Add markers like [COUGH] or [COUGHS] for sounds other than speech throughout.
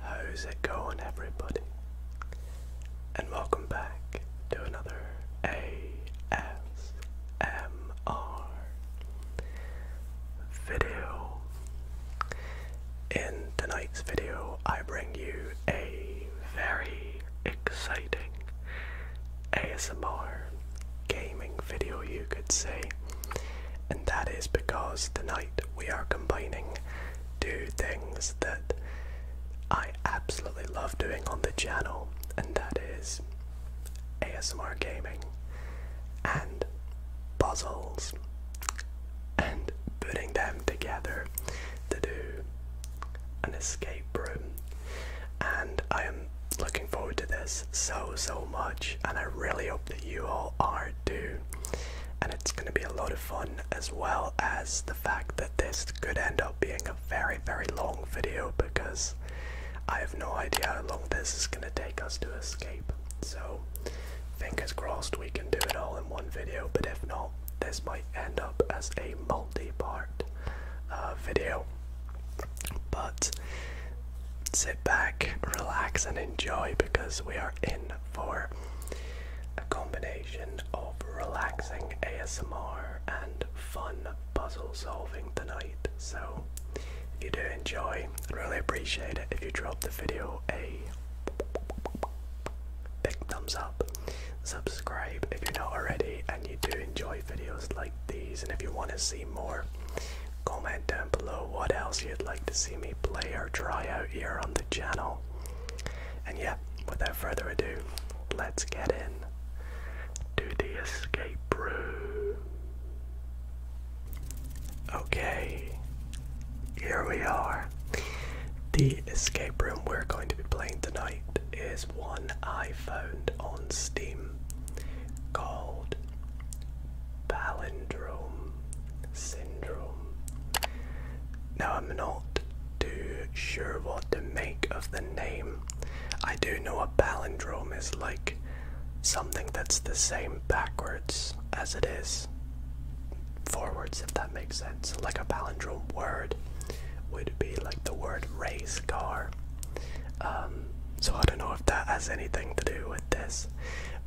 How's it going, everybody? And welcome back to another ASMR video. In tonight's video, I bring you a very exciting ASMR gaming video, you could say and that is because tonight we are combining two things that I absolutely love doing on the channel, and that is ASMR gaming and puzzles and putting them together to do an escape room. And I am looking forward to this so, so much, and I really hope that you all are too and it's going to be a lot of fun, as well as the fact that this could end up being a very, very long video because I have no idea how long this is going to take us to escape. So, fingers crossed we can do it all in one video, but if not, this might end up as a multi part uh, video. But sit back, relax, and enjoy because we are in for a combination of relaxing ASMR and fun puzzle solving tonight. So, if you do enjoy, I'd really appreciate it if you drop the video a big thumbs up, subscribe if you're not already, and you do enjoy videos like these. And if you want to see more, comment down below what else you'd like to see me play or try out here on the channel. And yeah, without further ado, let's get in to the escape room. Okay, here we are. The escape room we're going to be playing tonight is one I found on Steam called Palindrome syndrome. Now, I'm not too sure what to make of the name. I do know a palindrome is like something that's the same backwards as it is forwards, if that makes sense. Like a palindrome word would be like the word race car. Um, so I don't know if that has anything to do with this,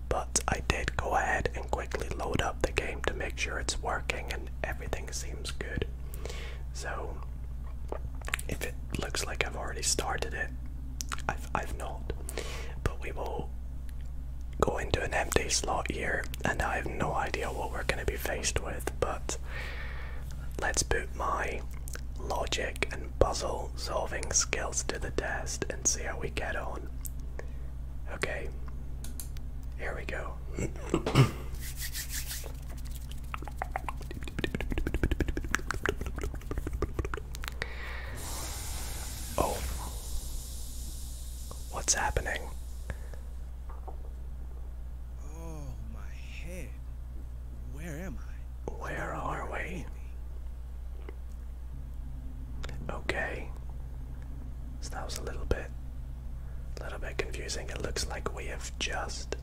but I did go ahead and quickly load up the game to make sure it's working and everything seems good. So, if it looks like I've already started it, I've, not. But we will go into an empty slot here, and I have no idea what we're going to be faced with, but let's put my logic and puzzle solving skills to the test and see how we get on. Okay. Here we go. oh. What's happening? Oh, my head. Where am I? Where are we? Okay. So that was a little bit a little bit confusing. It looks like we have just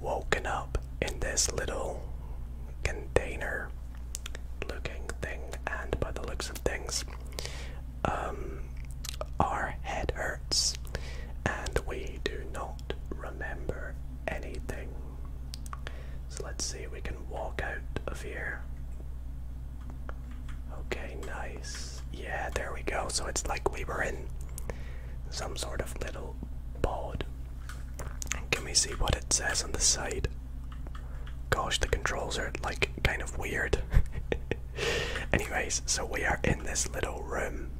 woken up in this little container looking thing and by the looks of things um our head hurts and we do not remember anything. So let's see, we can walk out of here. Okay, nice. Yeah, there we go. So it's like we were in some sort of little boat. Can we see what it says on the side? Gosh, the controls are like kind of weird. [LAUGHS] Anyways, so we are in this little room,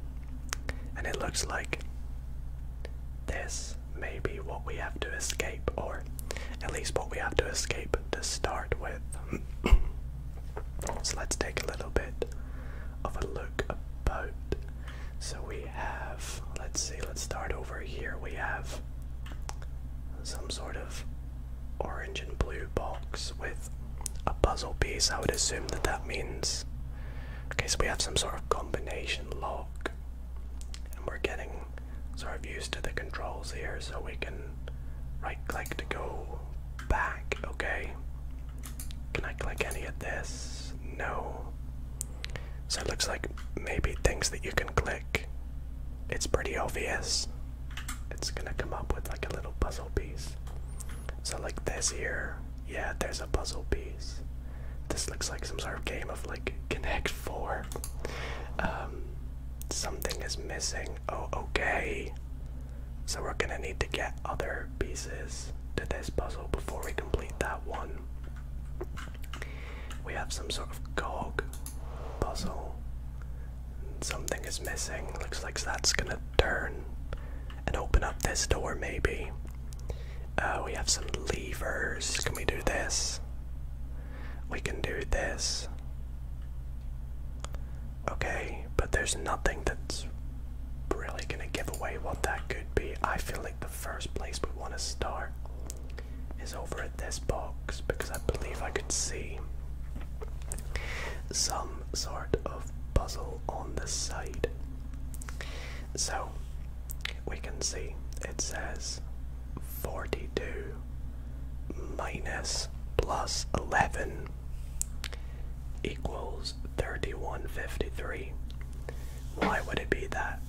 and it looks like this may be what we have to escape, or at least what we have to escape to start with. [COUGHS] so let's take a little bit of a look about. So we have, let's see, let's start over here. We have some sort of orange and blue box with a puzzle piece. I would assume that that means. Okay, so we have some sort of combination lock, and we're getting sort of used to the controls here, so we can right click to go back. Okay. Can I click any of this? No. So it looks like maybe things that you can click. It's pretty obvious. It's gonna come up with like a little puzzle piece. So, like this here, yeah, there's a puzzle piece. This looks like some sort of game of like Connect 4. Um, Something is missing. Oh, okay. So we're gonna need to get other pieces to this puzzle before we complete that one. We have some sort of cog puzzle. Something is missing. Looks like that's gonna turn and open up this door, maybe. Uh, we have some levers. Can we do this? We can do this. Okay, but there's nothing that's really gonna give away what that could be. I feel like the first place we want to start is over at this box because I believe I can see some sort of puzzle on the side. So we can see it says 42 minus plus 11 equals 3153. Why would it be that?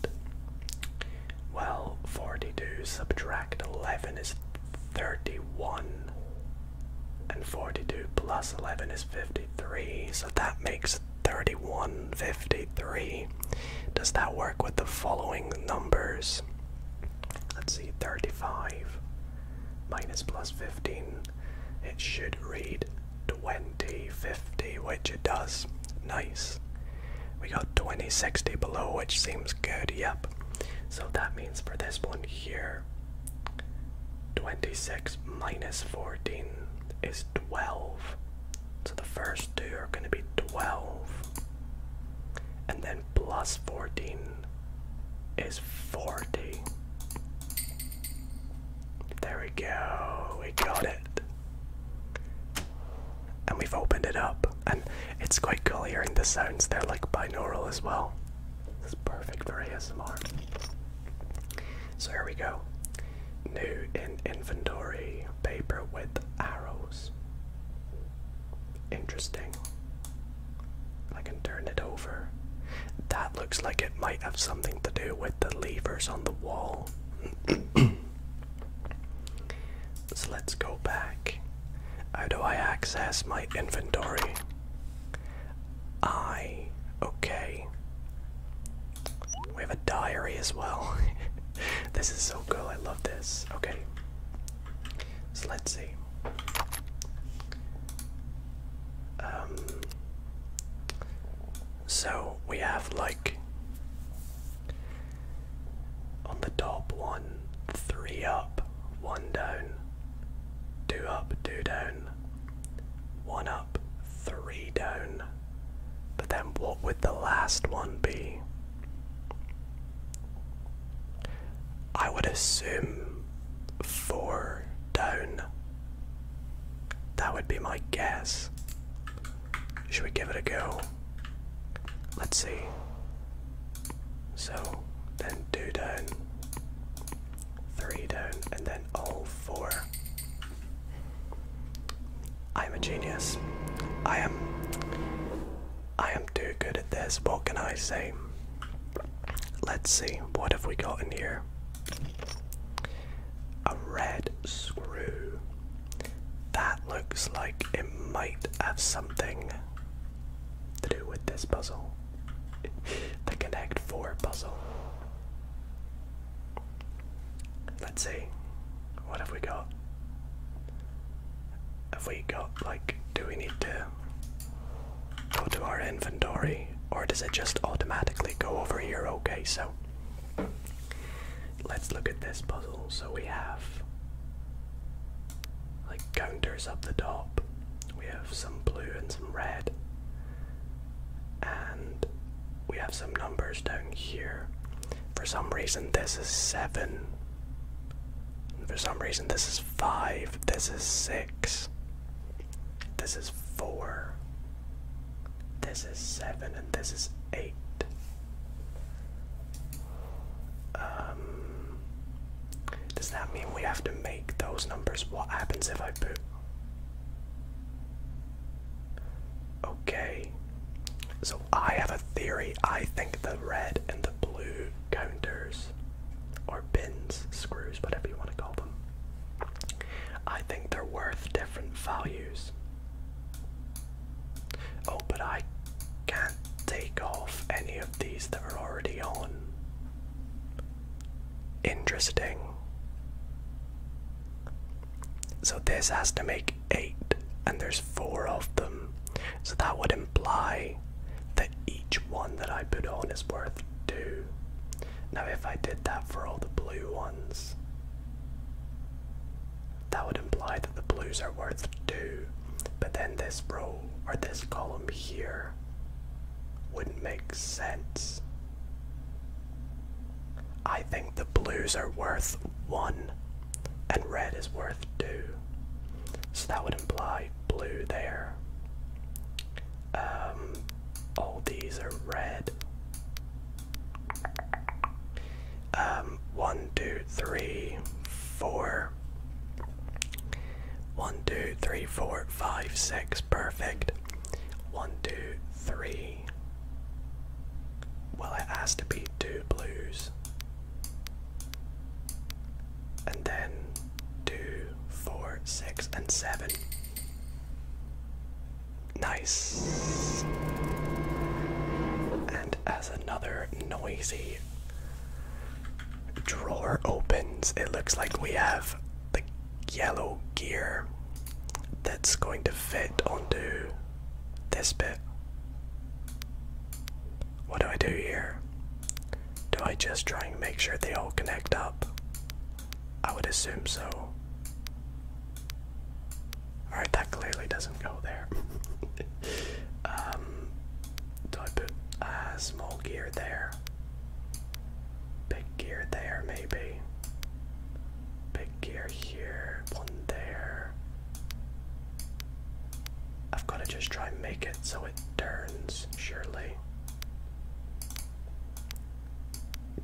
Well, 42 subtract 11 is 31, and 42 plus 11 is 53, so that makes 3153. Does that work with the following numbers? let's see, 35 minus plus 15, it should read 2050, which it does. Nice. We got 2060 below, which seems good, yep. So that means for this one here, 26 minus 14 is 12. So the first two are going to be 12. And then 14 is 40. There we go, we got it. And we've opened it up, and it's quite cool hearing the sounds, they're like binaural as well. perfect for ASMR. So here we go. New in inventory paper with arrows. Interesting. I can turn it over. That looks like it might have something to do with the levers on the wall. [CLEARS THROAT] so let's go back. How do I access my inventory? I. Okay. We have a diary as well. [LAUGHS] this is so cool. I love this. Okay. So let's see. Um, so we have like on the top one, three up, one down, two up, two down, one up, three down. But then what would the last one be? I would assume four down. That would be my guess. Should we give it a go? Let's see. So, then two down, three down, and then all four. I'm a genius. I am I am too good at this, what can I say? Let's see, what have we got in here? A red screw. That looks like it might have something to do with this puzzle. [LAUGHS] the Connect 4 puzzle. Let's see, what have we got? Have we got like do we need to go to our inventory or does it just automatically go over here? Okay, so let's look at this puzzle. So we have like counters up the top. We have some blue and some red. And we have some numbers down here. For some reason, this is seven for some reason, this is 5, this is 6, this is 4, this is 7, and this is 8. Um, does that mean we have to make those numbers? What happens if I put. Okay, so I have a theory. I think the red and the blue counters or bins, screws, whatever you want to call them. I think they're worth different values. Oh, but I can't take off any of these that are already on. Interesting. So this has to make eight, and there's four of them. So that would imply that each one that I put on is worth 2. Now if I did that for all the blue ones, that would imply that the blues are worth 2. But then this row, or this column here, wouldn't make sense. I think the blues are worth 1 and red is worth 2. So that would imply blue there. Um, all these are red. Um, one, two, three, four. One, two, three, four, five, six. Perfect. One, two, three. Well, it has to be two blues and then two, four, six, and seven. Nice. And as another noisy drawer opens, it looks like we have the yellow gear that's going to fit onto this bit. What do I do here? Do I just try and make sure they all connect up? I would assume so. Alright, that clearly doesn't go there. [LAUGHS] um, do I put small gear there? Big gear there, maybe. Big gear here, one there. I've got to just try and make it so it turns, surely.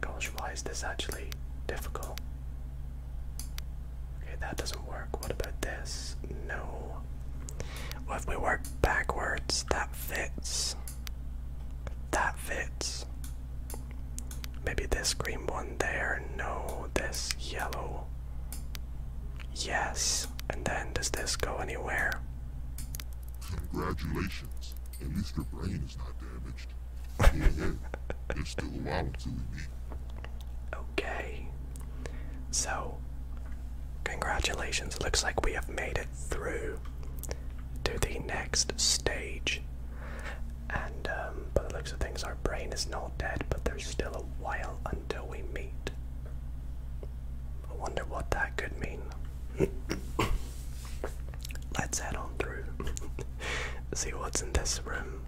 Gosh, why is this actually difficult? Okay, that doesn't work. What about this? No. Well, if we work backwards, that fits. That fits. Maybe this green one there. No, this yellow Yes. And then does this go anywhere? Congratulations. At least your brain is not damaged. [LAUGHS] still a while until we meet. Okay. So, congratulations. Looks like we have made it through to the next stage. And, um, by looks of things, our brain is not dead, but there's still a while until we meet. I wonder what that could mean. [COUGHS] Let's head on through. [LAUGHS] See what's in this room.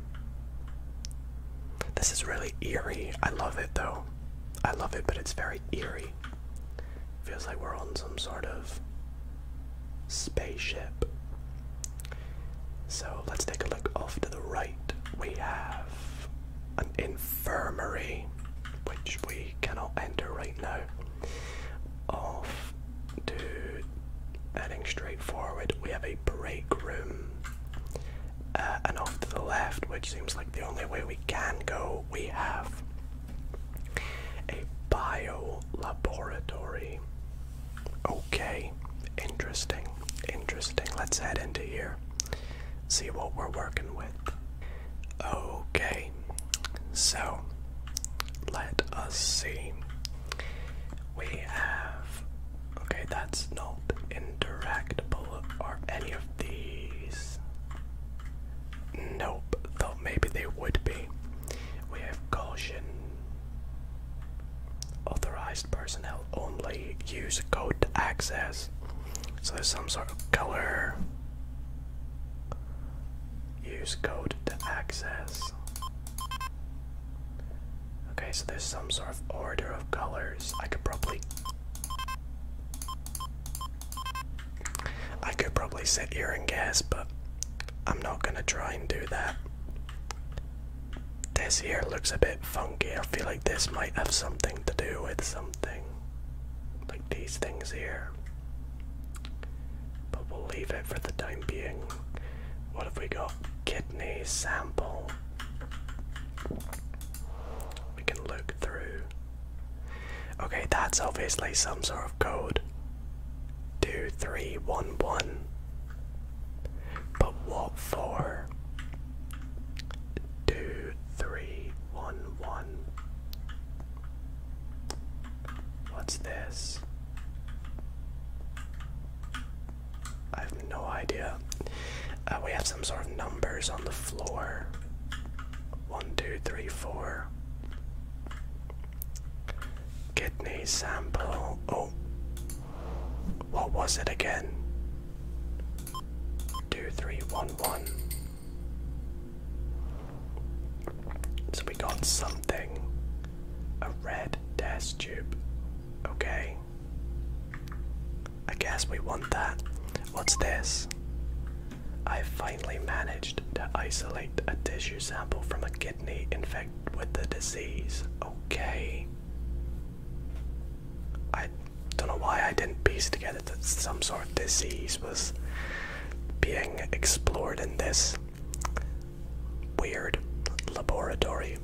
This is really eerie. I love it though. I love it, but it's very eerie. Feels like we're on some sort of spaceship. So let's take a look off to the right. We have an infirmary, which we cannot enter right now, off to heading straight forward. We have a break room, uh, and off to the left, which seems like the only way we can go, we have a bio laboratory. Okay, interesting, interesting. Let's head into here see what we're working with. Okay, so let us see. We have. Okay, that's not interactable or any of these. Nope, though maybe they would be. We have caution. Authorized personnel only use code to access. So there's some sort of color. Use code to access. Okay, so there's some sort of order of colors. I could probably. I could probably sit here and guess, but I'm not gonna try and do that. This here looks a bit funky. I feel like this might have something to do with something. Like these things here. But we'll leave it for the time being. What have we got? Kidney sample. We can look through. Okay, that's obviously some sort of code. 2311. But what for? two, three, one, one. What's this? I have no idea. Uh, we have some sort of numbers on the floor. One, two, three, four. Kidney sample. Oh. What was it again? two, three, one, one. So we got something. A red test tube. Okay. I guess we want that. What's this? I finally managed to isolate a tissue sample from a kidney infected with the disease. Okay. I don't know why I didn't piece together that some sort of disease was being explored in this weird laboratory.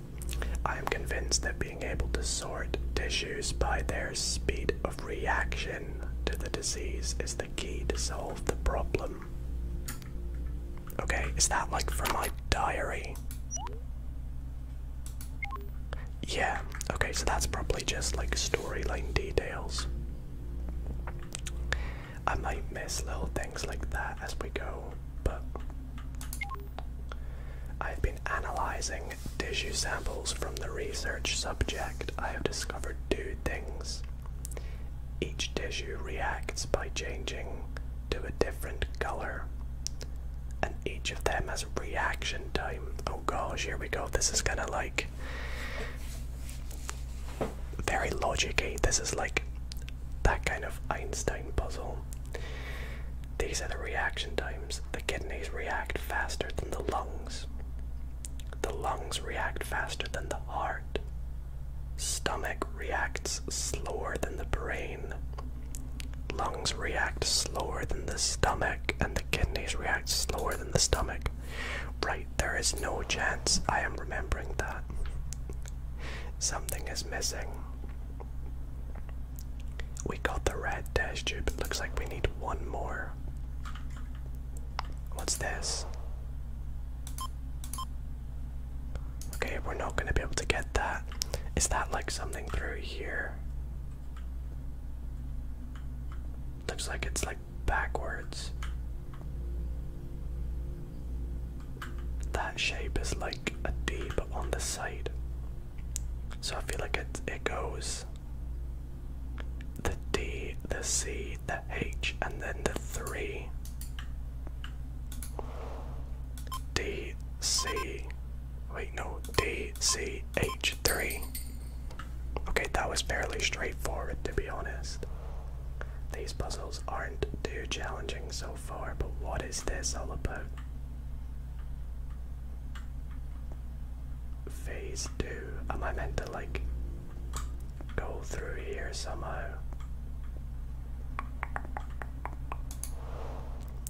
I am convinced that being able to sort tissues by their speed of reaction to the disease is the key to solve the problem. Okay, is that like from my diary? Yeah, okay, so that's probably just like storyline details. I might miss little things like that as we go, but I've been analyzing tissue samples from the research subject. I have discovered two things. Each tissue reacts by changing to a different color and each of them has a reaction time. Oh gosh, here we go. This is kind of like very logic-y. This is like that kind of Einstein puzzle. These are the reaction times. The kidneys react faster than the lungs. The lungs react faster than the heart. Stomach reacts slower than the brain lungs react slower than the stomach, and the kidneys react slower than the stomach. Right, there is no chance I am remembering that. Something is missing. We got the red dash tube. It looks like we need one more. What's this? Okay, we're not going to be able to get that. Is that like something through here? Looks like it's like backwards. That shape is like a D on the side. So I feel like it it goes the D, the C, the H, and then the three. D C Wait, no, DCH3. Okay, that was fairly straightforward to be honest. These puzzles aren't too challenging so far, but what is this all about? Phase 2. Am I meant to like go through here somehow?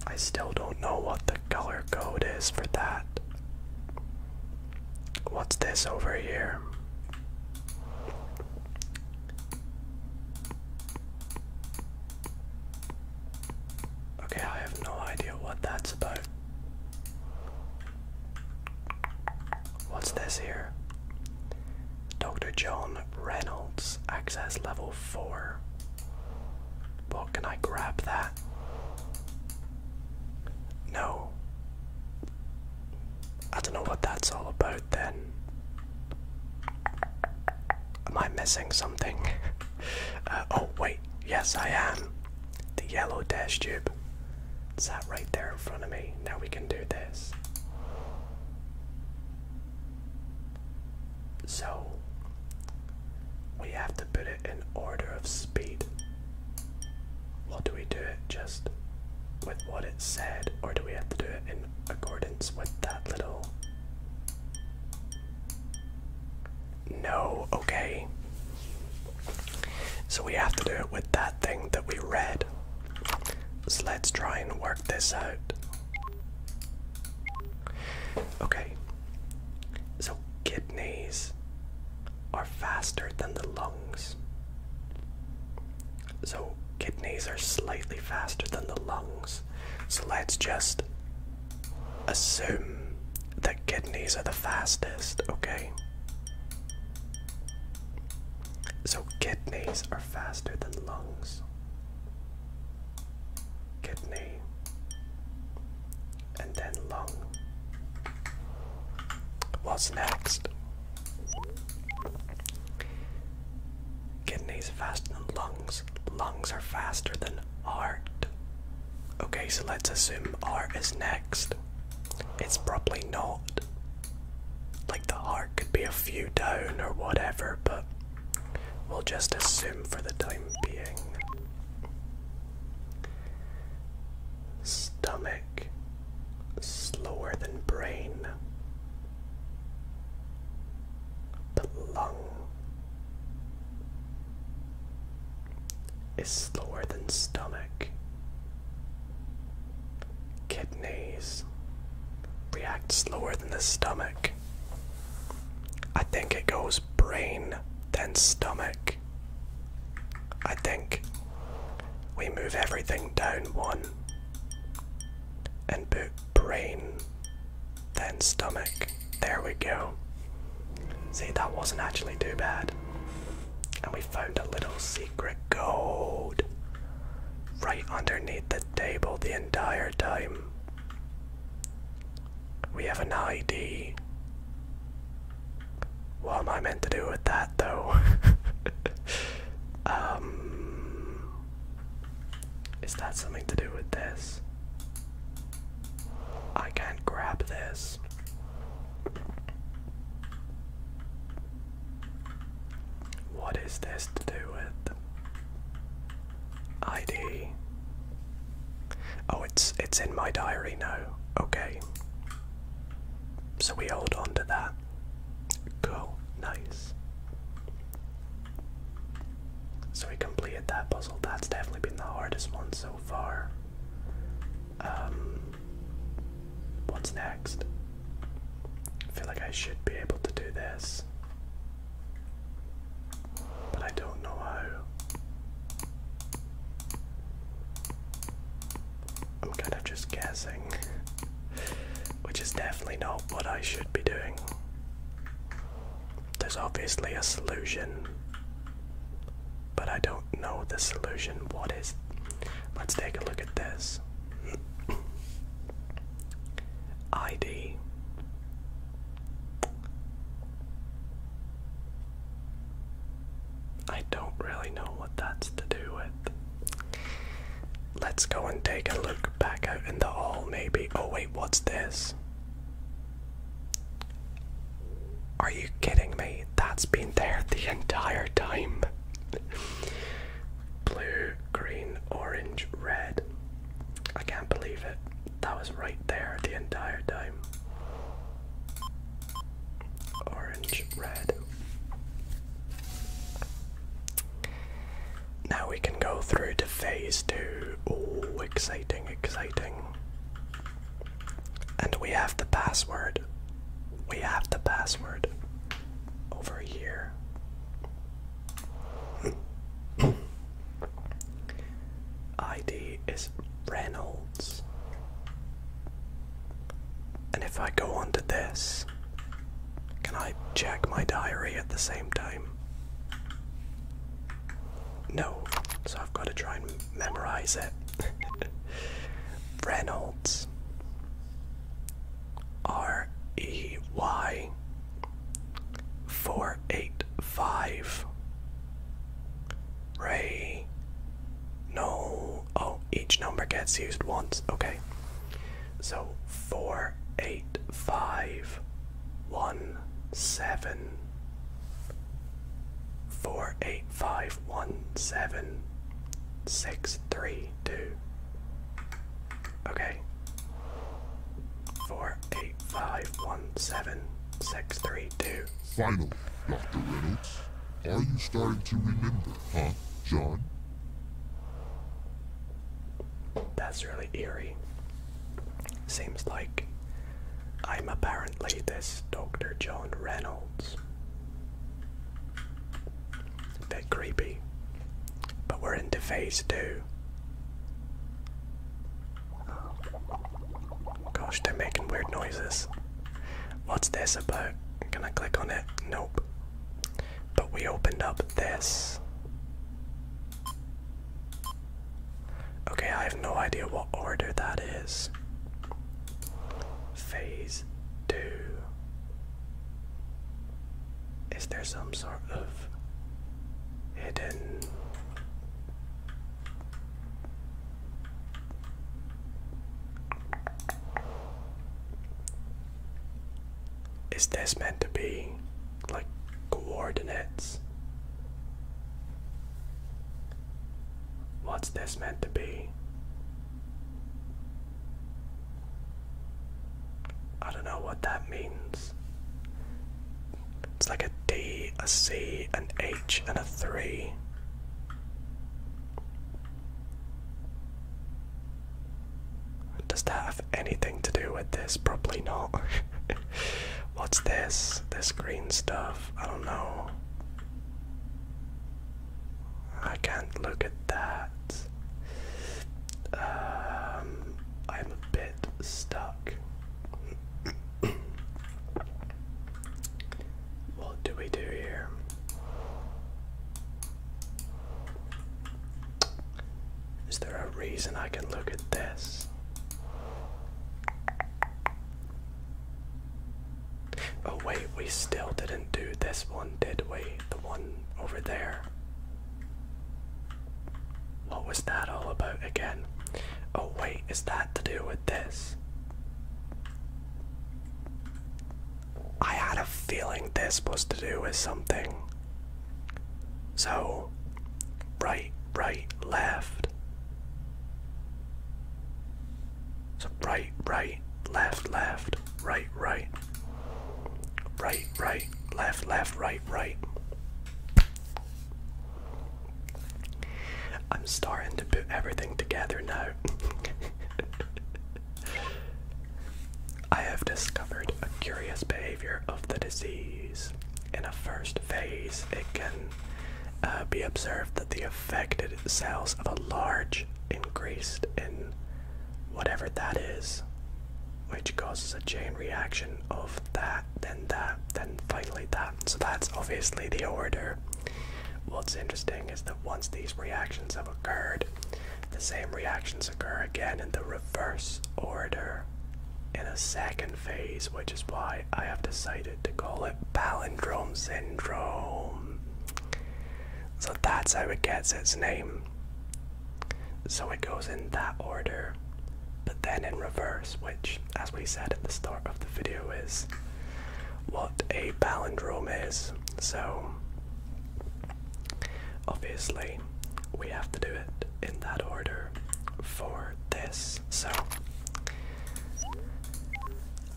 I still don't know what the color code is for that. What's this over here? Okay, I have no idea what that's about. What's this here? Dr. John Reynolds, access level 4. But can I grab that? No. I don't know what that's all about then. Am I missing something? [LAUGHS] Uh, oh, wait. Yes, I am. The yellow dash tube. It's that right there in front of me. Now we can do this. So, we have to put it in order of speed. Well, do we do it just with what it said, or do we have to do it in accordance with that little. No, okay. So we have to do it with that thing that we read. So let's try and work this out. Okay, so kidneys are faster than the lungs. So kidneys are slightly faster than the lungs. So let's just assume that kidneys are the fastest, okay? So kidneys are faster than lungs. Kidney and then lung. What's next? Kidneys faster than lungs. Lungs are faster than heart. Okay, so let's assume heart is next. It's probably not. Like the heart could be a few down or whatever, but we'll just assume for the time being. Stomach slower than brain. Lung is slower than stomach. Kidneys react slower than the stomach. I think it goes brain, then stomach. I think we move everything down one and put brain, then stomach. There we go. See, that wasn't actually too bad. And we found a little secret gold right underneath the table the entire time. We have an ID. What am I meant to do with that though? [LAUGHS] um, is that something to do with this? I can't grab this. What is this to do with? ID. Oh, it's it's in my diary now. Okay. So we hold on to that. Cool. Nice. So we completed that puzzle. That's definitely been the hardest one so far. Um what's next? I feel like I should be able to do this but I don't know how. I'm kind of just guessing, [LAUGHS] which is definitely not what I should be doing. There's obviously a solution, but I don't know the solution. What is? Let's take a look at this. [CLEARS THROAT] ID I don't really know what that's to do with. Let's go and take a look back out in the hall, maybe. Oh, wait, what's this? Are you kidding me? That's been there the entire time. [LAUGHS] Blue, green, orange, red. I can't believe it. That was right there the entire time. Orange, red. Now we can go through to phase two. Oh, exciting, exciting. And we have the password. We have the password over here. ID is Reynolds. And if I go on to this, can I check my diary at the same time? No, so I've got to try and memorize it. [LAUGHS] Reynolds. R E Y 485 Ray. No. Oh, each number gets used once. Okay. So four, eight, five, one, seven. Four, Okay. Four, eight, five, one, seven, six, three, two. Finally, Dr. Reynolds? Are you starting to remember, huh, John? That's really eerie. Seems like I'm apparently this Dr. John Reynolds. It's a bit creepy. But we're into phase two. Gosh, they're making weird noises. What's this about? Can I click on it? Nope. But we opened up this. Okay, I have no idea what order that is. Phase 2. Is there some sort of hidden is this meant to be like coordinates? What's this meant to be? I don't know what that means. It's like a D, a C, an H, and a 3. Does that have anything to do with this? Probably not. [LAUGHS] What's this? This green stuff? I don't know. I can't look at that. Um, I'm a bit stuck what do we do here? Is there a reason I can look at this? Oh, wait, we still didn't do this one, did we? The one over there. What was that all about again? Oh, wait, is that to do with this? I had a feeling this was to do with something. So, right, right, left. So, right, right, left, left, right, right. Right, right, left, left, right, right. I'm starting to put everything together now. [LAUGHS] I have discovered a curious behavior of the disease. In a first phase, it can uh, be observed that the affected cells have a large increase in whatever that is, which causes a chain reaction of that, then that, then finally that. So that's obviously the order What's interesting is that once these reactions have occurred, the same reactions occur again in the reverse order in a second phase, which is why I have decided to call it palindrome syndrome. So that's how it gets its name. So it goes in that order, but then in reverse, which as we said at the start of the video, is what a palindrome is. So, obviously, we have to do it in that order for this. So,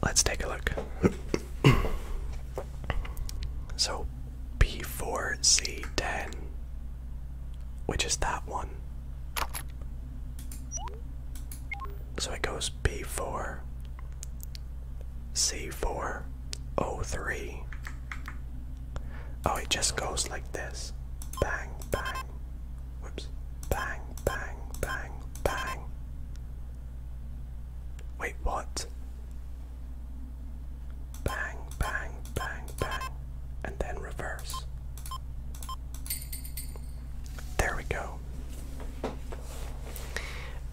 let's take a look. [COUGHS] so, P4C10, which is that one. So it goes B4, C4, O3. Oh, it just goes like this. Bang, bang. Whoops. Bang, bang, bang, bang. Wait, what? Bang, bang, bang, bang. And then reverse. There we go.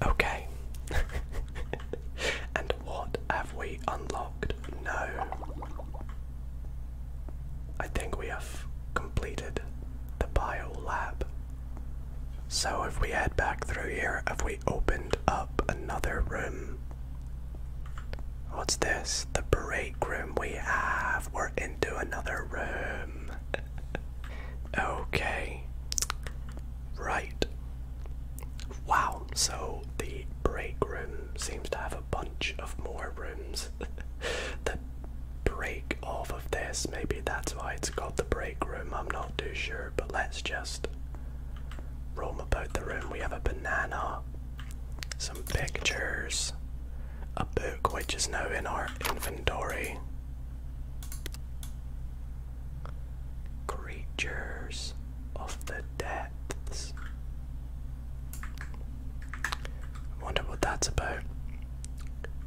Okay. [LAUGHS] and what have we unlocked? No. I think we have completed the bio lab. So if we head back through here, have we opened up another room? What's this? The break room we have into another room. [LAUGHS] okay. Right. Wow, so the break room seems to have a bunch of more rooms. [LAUGHS] the break off of this, maybe that's why it's called the break room, I'm not too sure, but let's just roam about the room. We have a banana, some pictures, a book which is now in our inventory, Creatures of the depths. I wonder what that's about.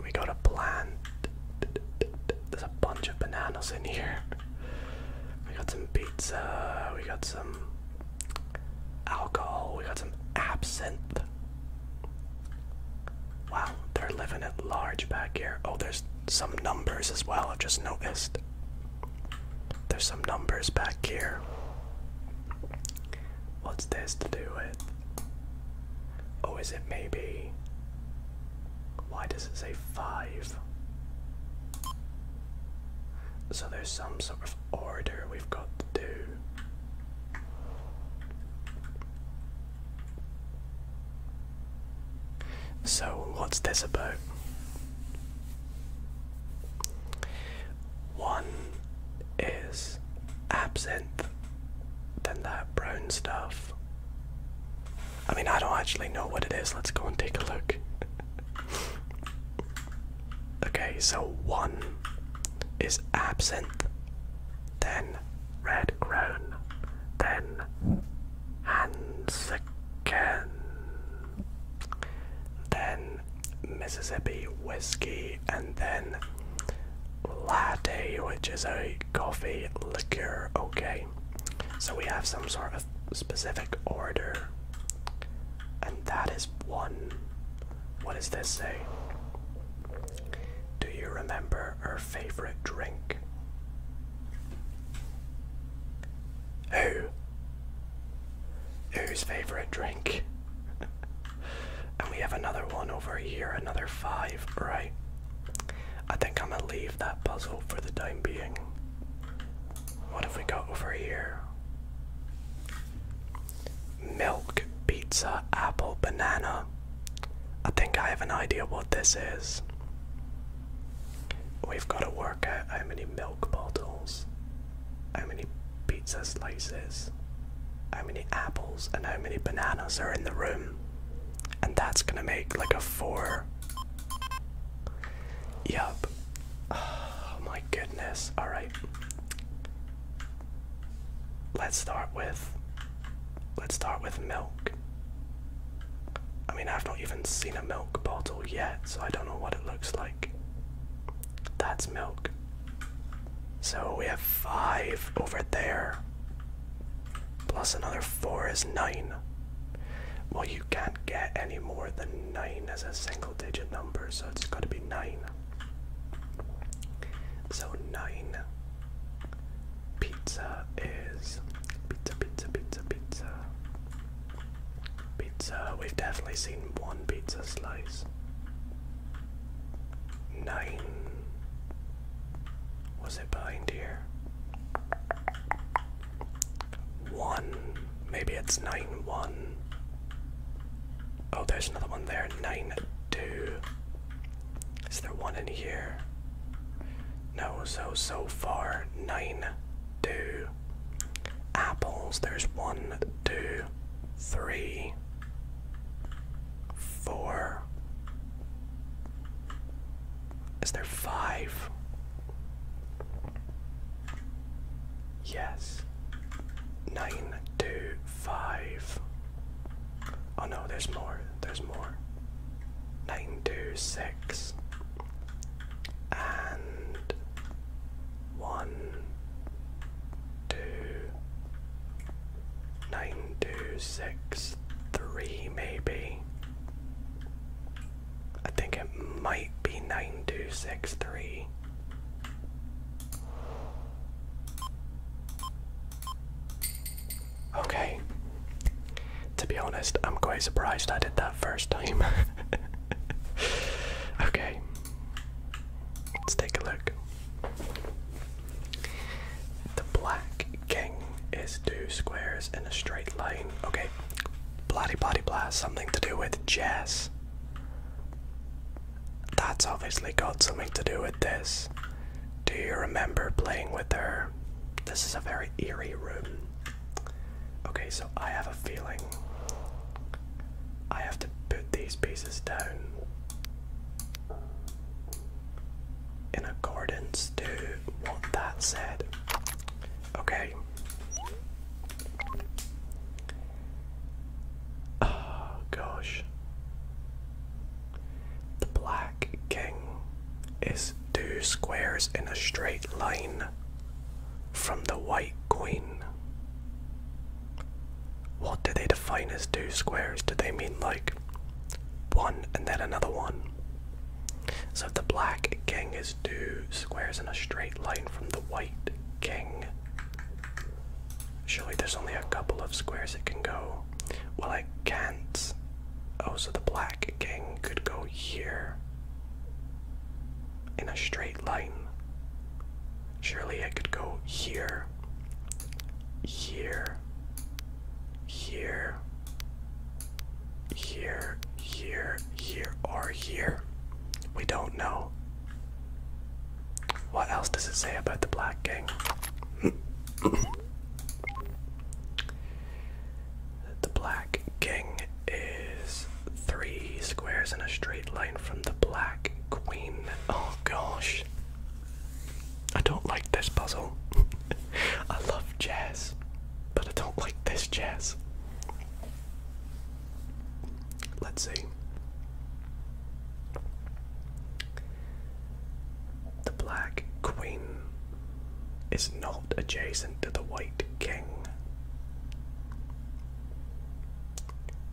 We got a plant. There's a bunch of bananas in here. We got some pizza. We got some alcohol. We got some absinthe. Wow, they're living at large back here. Oh, there's some numbers as well, I've just noticed. There's some numbers back here. What's this to do with? Oh, is it maybe. Why does it say 5? So there's some sort of order we've got to do. So, what's this about? One is absinthe, then that brown stuff. I mean, I don't actually know what it is. Let's go and take a look. [LAUGHS] okay, so one is absinthe, then red crown, then Hansaken, then Mississippi whiskey, and then latte, which is a coffee liqueur. Okay, so we have some sort of specific order, and that is one. What does this say? Do you remember her favorite drink? Who? Whose favorite drink? [LAUGHS] and we have another one over here, another five, right? I think I'm gonna leave that puzzle for the time being. What have we got over here? Milk, pizza, apple, banana. I think I have an idea what this is. We've got to work out how many milk bottles, how many pizza slices, how many apples, and how many bananas are in the room. And that's gonna make like a four. Yup. [SIGHS] Oh my goodness. Alright. Let's start with let's start with milk. I mean, I've not even seen a milk bottle yet, so I don't know what it looks like. That's milk. So we have five over there. Plus another four is nine. Well, you can't get any more than nine as a single digit number, so it's got to be nine. So nine Pizza is pizza, pizza, pizza, pizza. Pizza, we've definitely seen one pizza slice. Nine. Was it behind here? One. Maybe it's nine, one. Oh, there's another one there. Nine, two. Is there one in here? No, so, so far, nine, two. Apples, there's one, two, three, four. Is there five? Yes. Nine, two, five. Oh no, there's more. There's more. Nine two six and one two nine two six three maybe. I think it might be nine two six three. Okay. To be honest, I'm quite surprised I did that first time. [LAUGHS] okay. Let's take a look. The black king is two squares in a straight line. Okay. blatty blatty blast. something to do with chess. That's obviously got something to do with this. Do you remember playing with her? This is a very eerie room. Okay, so I have a feeling I have to put these pieces down in accordance to what that said. Okay. Oh gosh. The black king is two squares in a straight line from the white queen. What do they define as two squares? Do they mean like one and then another one? So the black king is two squares in a straight line from the white king, Surely there's only a couple of squares it can go. Well, I can't. Oh, so the black king could go here. In a straight line. Surely it could go here. Here. Here. Here. Here. Here. Or here. We don't know. What else does it say about the black king? [CLEARS THROAT] The black king is three squares in a straight line from the black queen. Oh gosh. I don't like this puzzle. [LAUGHS] I love chess, but I don't like this chess. Let's see. The Black Queen is not adjacent to the White King.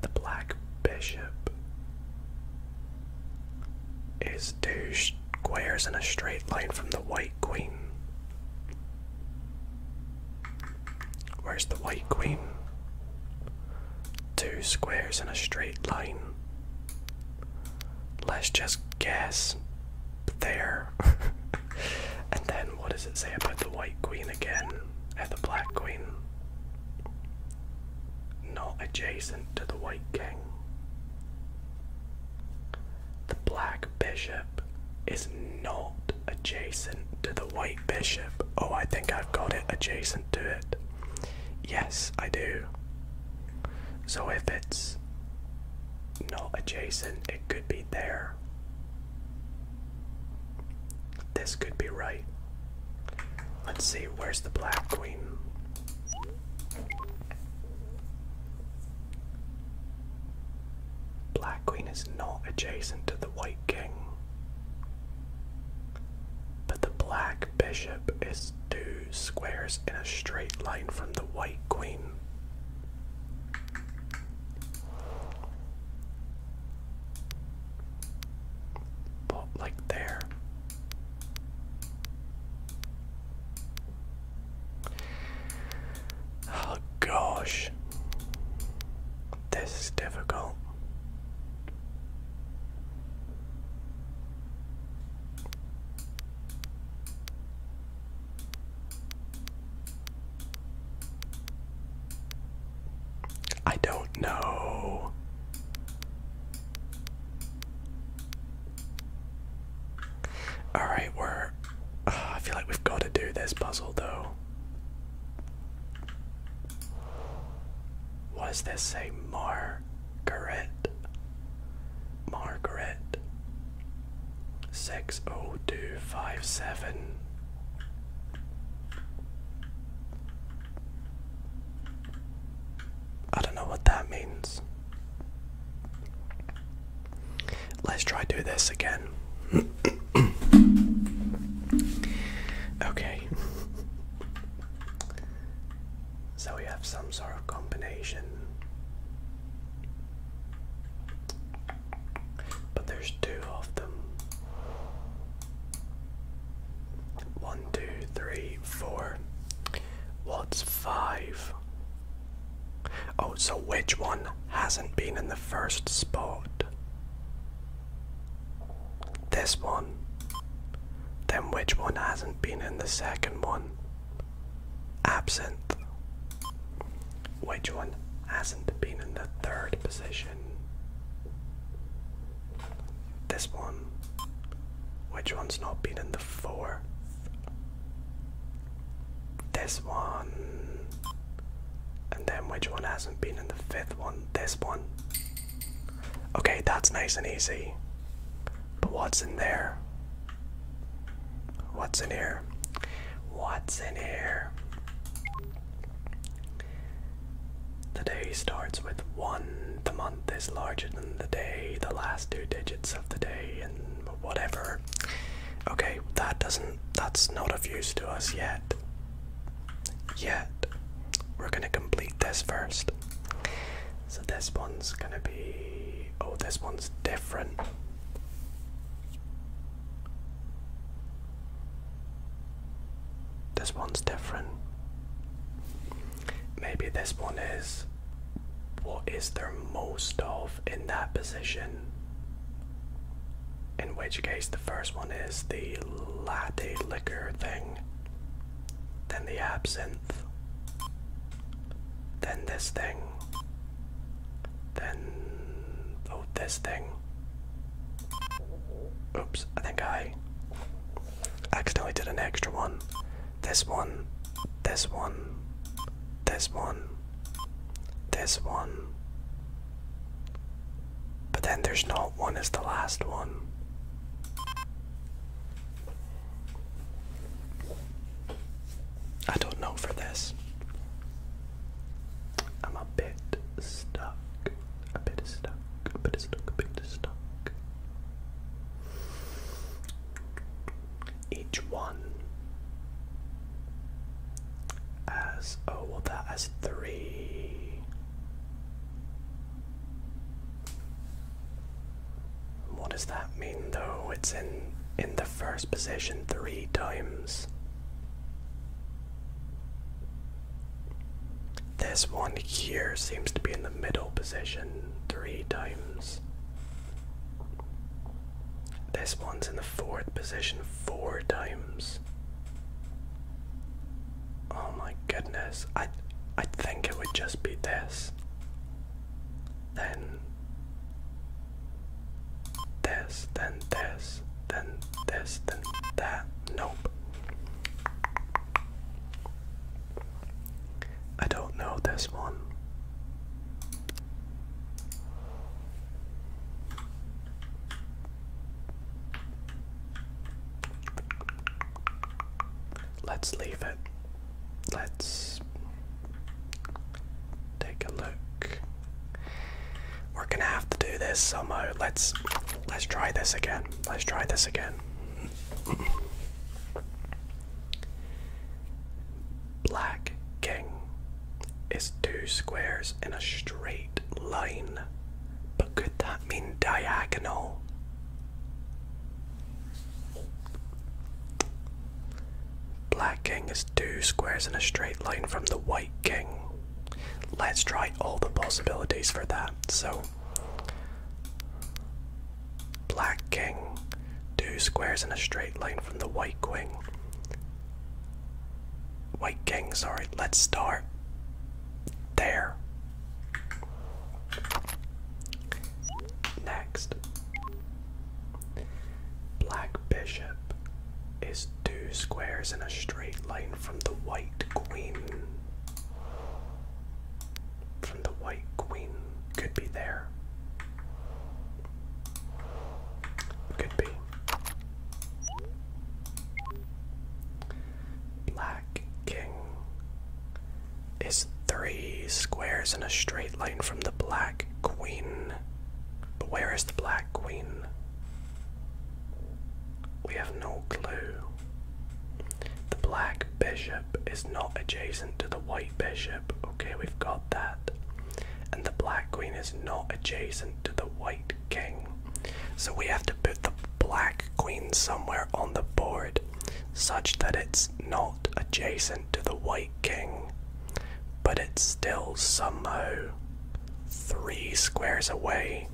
The Black Bishop is two squares in a straight line from the White Queen. Where's the White Queen? Two squares in a straight line Let's just guess there. [LAUGHS] and then what does it say about the white queen again? And uh, the black queen? Not adjacent to the white king. The black bishop is not adjacent to the white bishop. Oh, I think I've got it adjacent to it. Yes, I do. So if it's not adjacent, it could be there. This could be right. Let's see, where's the black queen? Black queen is not adjacent to the white king. But the black bishop is two squares in a straight line from the white queen. But like there. Oh gosh. This is difficult. I don't know. All right, we're. Uh, I feel like we've got to do this puzzle though. What does this say? more? Correct. Margaret. 60257. I don't know what that means. Let's try do this again. [COUGHS] okay. So we have some sort of combination. But there's two of them. One, two, three, four. What's five? Oh, so which one hasn't been in the first spot? This one. Then which one hasn't been in the second one? Absinthe. Which one hasn't been in the third position? This one. Which one's not been in the fourth? This one. And then which one hasn't been in the fifth one? This one. Okay, that's nice and easy. But what's in there? What's in here? What's in here? The day starts with one. The month is larger than the day. The last two digits of the day and whatever. Okay, that doesn't. That's not of use to us yet. Yet. We're gonna complete this first. So this one's gonna be Oh, this one's different. This one's different. Maybe this one is. What is there most of in that position? In which case, the first one is the latte liquor thing then the absinthe, then this thing, then oh, this thing. Oops, I think I accidentally did an extra one. This one, this one, this one, this one. But then there's not one as the last one. I don't know for this. I'm a bit stuck. A bit stuck. A bit stuck. A bit stuck. Each one as oh well that has three what does that mean though? It's in in the first position three times. This one here seems to be in the middle position three times. This one's in the fourth position four times. Oh my goodness. I I think it would just be this then this, then this, then this, then that. Nope. I don't know this one. Let's leave it let's take a look. We're gonna have to do this somehow. Let's let's try this again. Let's try this again. Black king is two squares in a straight line. But could that mean diagonal? Black king is two squares in a straight line from the white king. Let's try all the possibilities for that. So, black king, two squares in a straight line from the white king. White king, sorry. Let's start there. Next, Black Bishop is two squares in a straight line from the White Queen. From the White Queen. Could be there. Could be. Black King is three squares in a straight line from the black queen. But where is the black queen? We have no clue. The black bishop is not adjacent to the white bishop. Okay, we've got that. And the black queen is not adjacent to the white king. So we have to put the black queen somewhere on the board such that it's not adjacent to the White King, but it's still somehow three squares away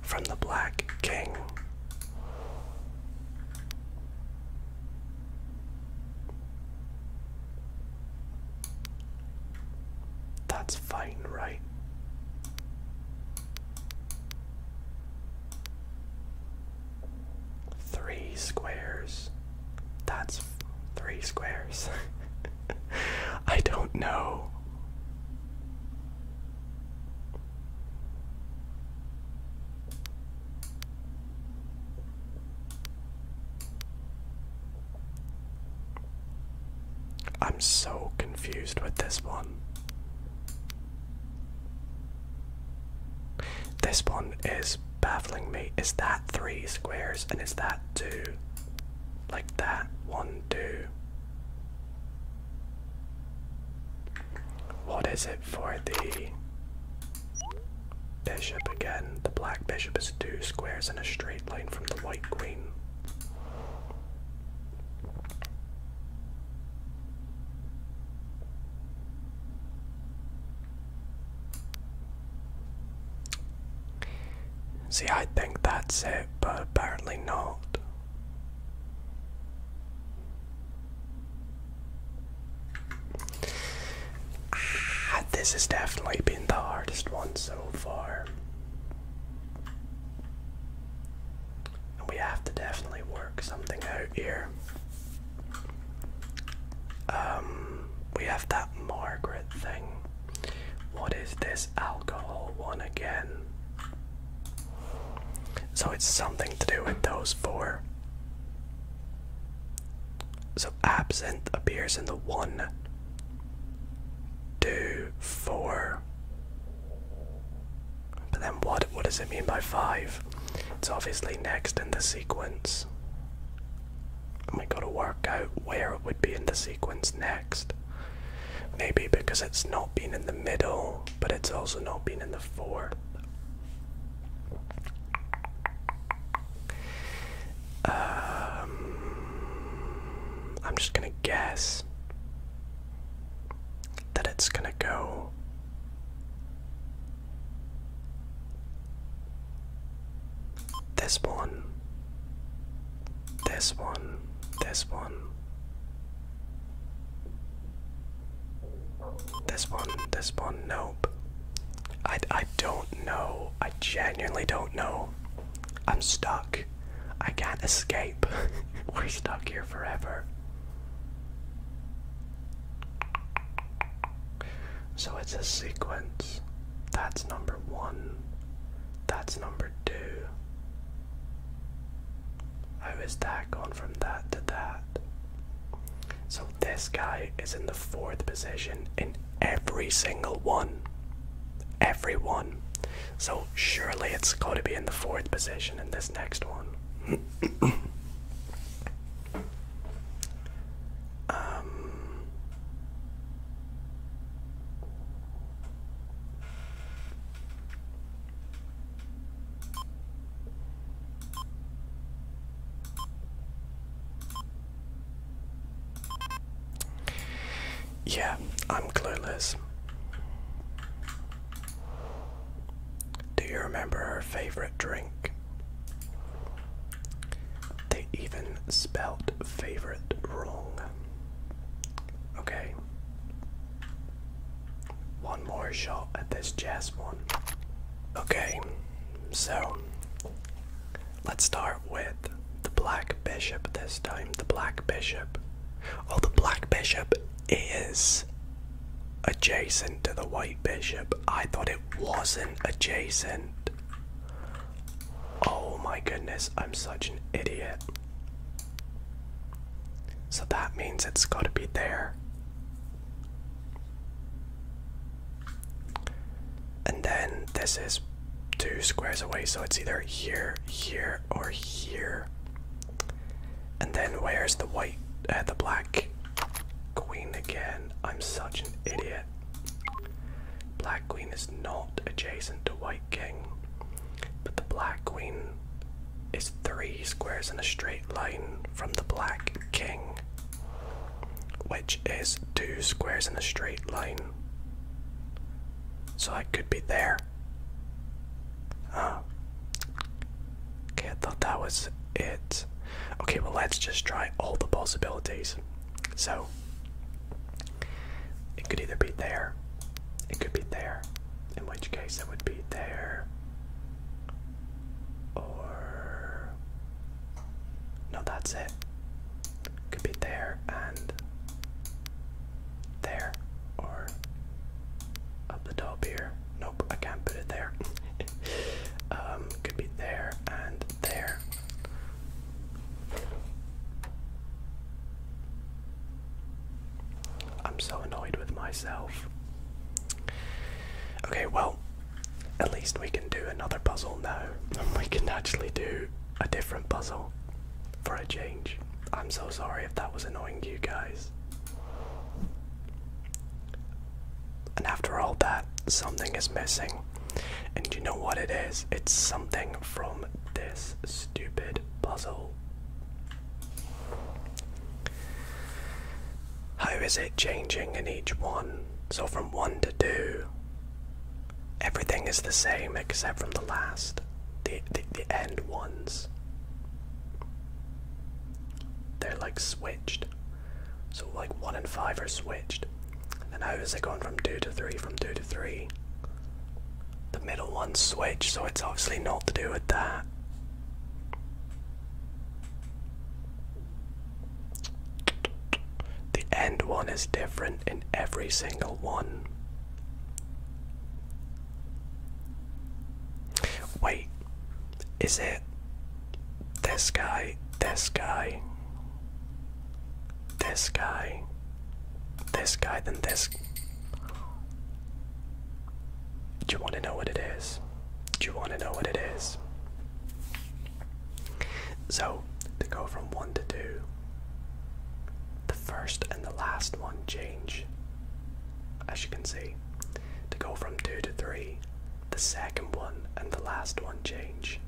from the Black King. That's fine, right? three squares. That's three squares. [LAUGHS] I don't know. I'm so confused with this one. This one is baffling me. Is that three squares and is that two? Like that, one, two. What is it for the bishop again? The black bishop is two squares in a straight line from the white queen. See, I think that's it, but apparently not. Ah, this has definitely been the hardest one so far. And we have to definitely work something out here. Um, we have that Margaret thing. What is this alcohol one again? So it's something to do with those four. So absinthe appears in the one, two, four. But then what what does it mean by five? It's obviously next in the sequence. I we gotta work out where it would be in the sequence next. Maybe because it's not been in the middle, but it's also not been in the four. Um, I'm just gonna guess that it's gonna go this one. This one. This one. This one. This one. Nope. I, I don't know. I genuinely don't know. I'm stuck. I can't escape. [LAUGHS] We're stuck here forever. So it's a sequence. That's number one. That's number two. How is that gone from that to that? So this guy is in the fourth position in every single one. Every one. So surely it's going to be in the fourth position in this next one um, yeah, I'm clueless. Do you remember her favorite drink? They even spelt favorite wrong. Okay. One more shot at this jazz one. Okay, so let's start with the black bishop this time. The black bishop. Oh, the black bishop is adjacent to the white bishop. I thought it wasn't adjacent. Oh my goodness, I'm such an idiot. So that means it's got to be there. And then this is two squares away, so it's either here, here, or here. And then where's the white, uh, the black queen again? I'm such an idiot. Black Queen is not adjacent to White King, but the Black Queen is three squares in a straight line from the Black King, which is two squares in a straight line. So I could be there. Ah. Okay, I thought that was it. Okay, well, let's just try all the possibilities. So, it could either be there, it could be there, in which case it would be there, or. No, that's it. Could be there and there, or up the top here. Nope, I can't put it there. [LAUGHS] um, could be there and there. I'm so annoyed with myself. Okay, well, at least we can do another puzzle now. [LAUGHS] We can actually do a different puzzle for a change. I'm so sorry if that was annoying you guys. And after all that, something is missing. And you know what it is? It's something from this stupid puzzle. How is it changing in each one? So from 1 to 2, everything is the same except from the last, the, the, the end ones. They're like switched. So like one and five are switched. And how is it going from two to three? From two to three. The middle one switched, so it's obviously not to do with that. The end one is different in every single one. Wait, is it this guy, this guy, this guy, this guy, then this. Do you want to know what it is? Do you want to know what it is? So, to go from 1 to 2, the first and the last one change. As you can see, to go from 2 to 3, the second one and the last one change.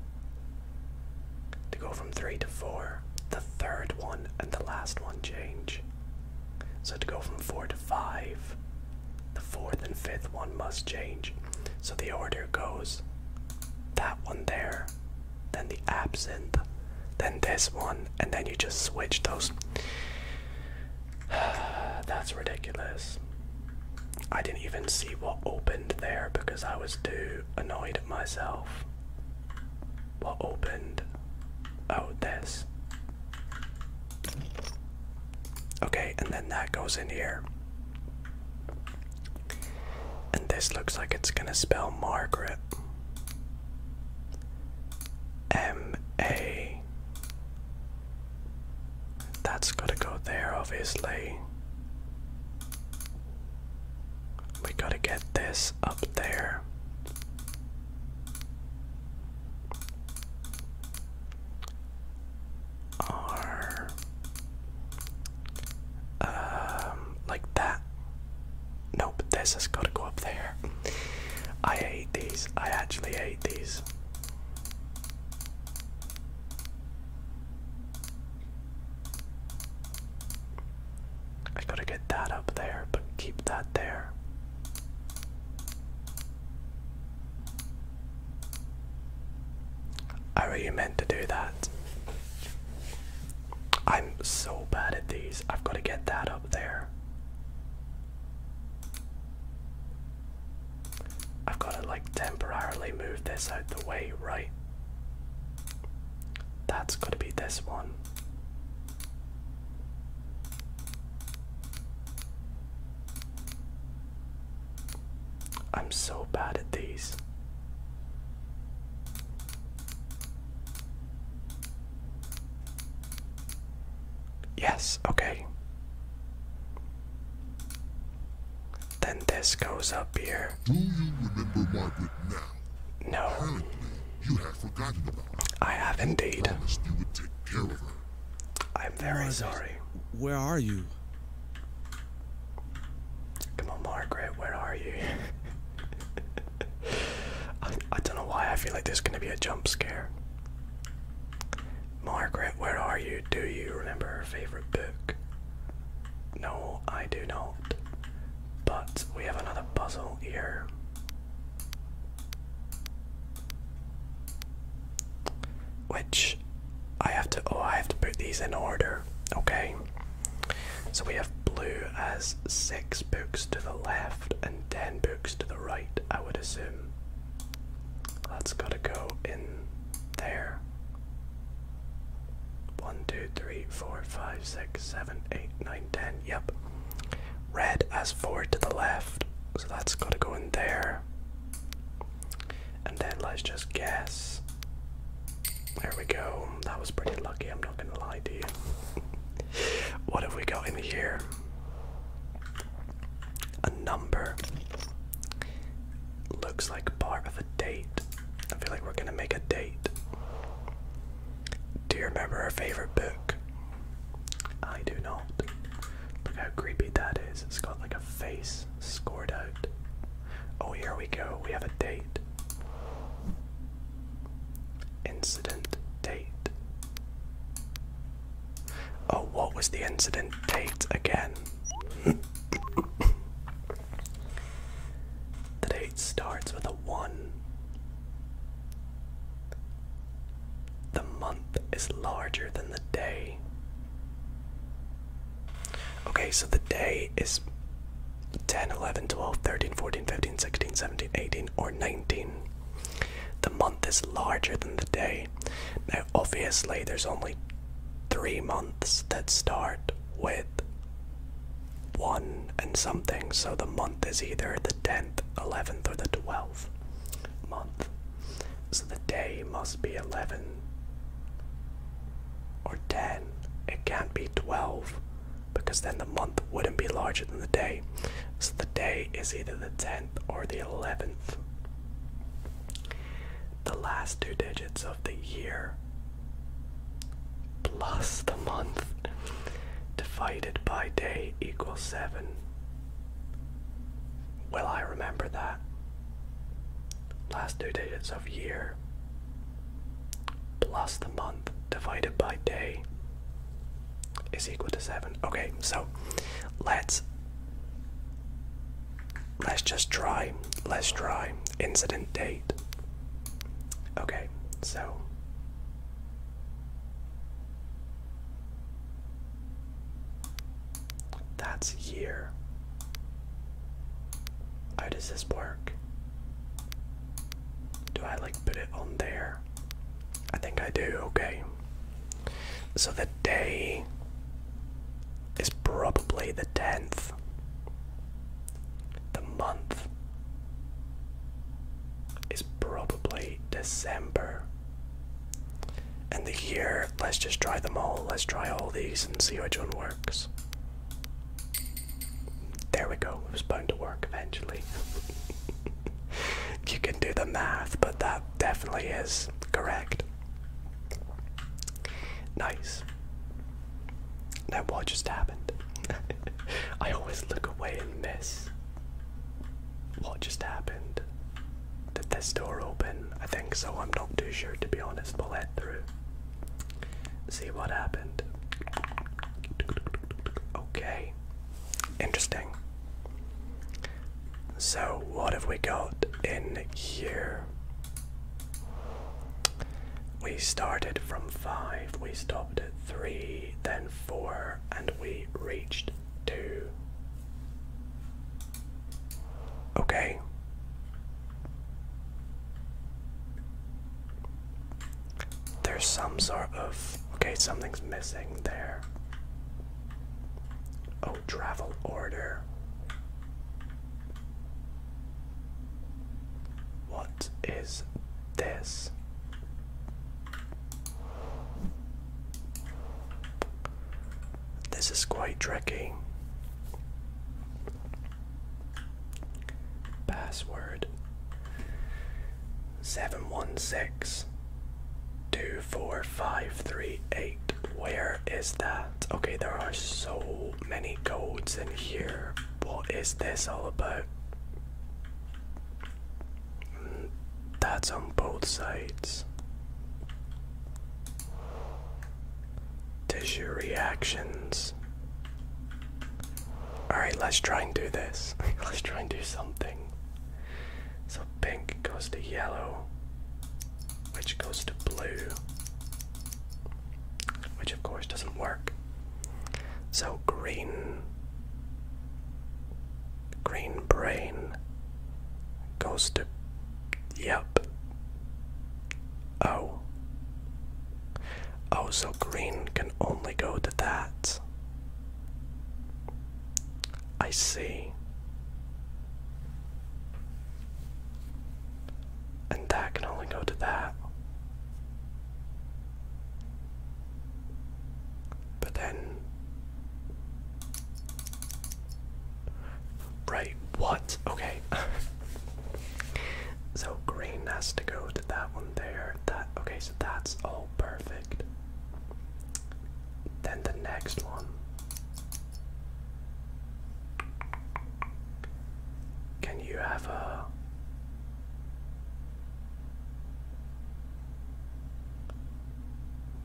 To go from 3 to 4, the third one and the last one change. So to go from 4 to 5, the fourth and fifth one must change. So the order goes that one there, then the absinthe, then this one, and then you just switch those. [SIGHS] That's ridiculous. I didn't even see what opened there because I was too annoyed at myself. What opened? Oh, this. Okay, and then that goes in here. And this looks like it's gonna spell Margaret. M A that's gotta go there, obviously. We gotta get this up there. um, like that. Nope, this has got to go up there. I hate these. I actually hate these. I gotta get that up there, but keep that there. I really meant to do that. I'm so bad at these. I've got to get that up there. I've got to like temporarily move this out the way, right? That's got to be this one. I'm so bad at these. Yes, okay. Then this goes up here. Do you remember Margaret now? No. Apparently, you have forgotten about her. I have indeed. I you would take care of her. I'm very sorry. Where are you? Come on, Margaret, where are you? [LAUGHS] I don't know why I feel like there's gonna be a jump scare. Margaret, where are you? Do you remember her favorite book? No, I do not. But we have another puzzle here. Which I have to oh I have to put these in order. Okay. So we have blue as six books to the left and ten books to the right, I would assume. That's gotta go in there. 1, 2, 3, 4, 5, 6, 7, 8, 9, 10. Yep. Red has 4 to the left, so that's gotta go in there. And then let's just guess. There we go. That was pretty lucky, I'm not gonna lie to you. what have we got in here? A number looks like part of a date. I feel like we're gonna make a date. Do you remember our favorite book? I do not. Look how creepy that is. It's got like a face scored out. Oh, here we go. We have a date. Incident date. Oh, what was the incident date again? [COUGHS] the date starts with a 1. The month is larger than the day. Okay, so the day is 10, 11, 12, 13, 14, 15, 16, 17, 18, or 19. The month is larger than the day. Now, obviously, there's only three months that start with one and something, so the month is either the 10th, 11th, or the 12th month. So the day must be 11 or 10. It can't be 12 because then the month wouldn't be larger than the day. So the day is either the 10th or the 11th the last two digits of the year plus the month divided by day equals 7. Will I remember that? Last two digits of year plus the month divided by day is equal to 7. Okay, so let's Let's just try. Let's try. Incident date. Okay, so. That's year. How does this work? Do I like put it on there? I think I do, okay. So the day is probably the 10th. The month is probably December. And the year, let's just try them all. Let's try all these and see which one works. There we go, it was bound to work eventually. [LAUGHS] you can do the math, but that definitely is correct. Nice. Now, what just happened? [LAUGHS] I always look away and miss. What just happened? Did this door open? I think so. I'm not too sure, to be honest. We'll head through. See what happened. Okay. Interesting. So, what have we got in here? We started from 5, we stopped at 3, then 4, and we reached 2. Okay. There's some sort of. Okay, something's missing there. Oh, travel order. What is this? This is quite tricky. Password seven one six two four five three eight. Where is that? Okay, there are so many codes in here. What is this all about? Mm, that's on both sides. Tissue reactions. Alright, let's try and do this. [LAUGHS] let's try and do something. So pink goes to yellow which goes to blue, which of course doesn't work. So green, green brain goes to, yep, oh. Oh, so green can only go to that. I see. And that can only go to that. But then. Right, what? Okay. [LAUGHS] so green has to go to that one there. That okay, so that's all perfect. Then the next one can you have a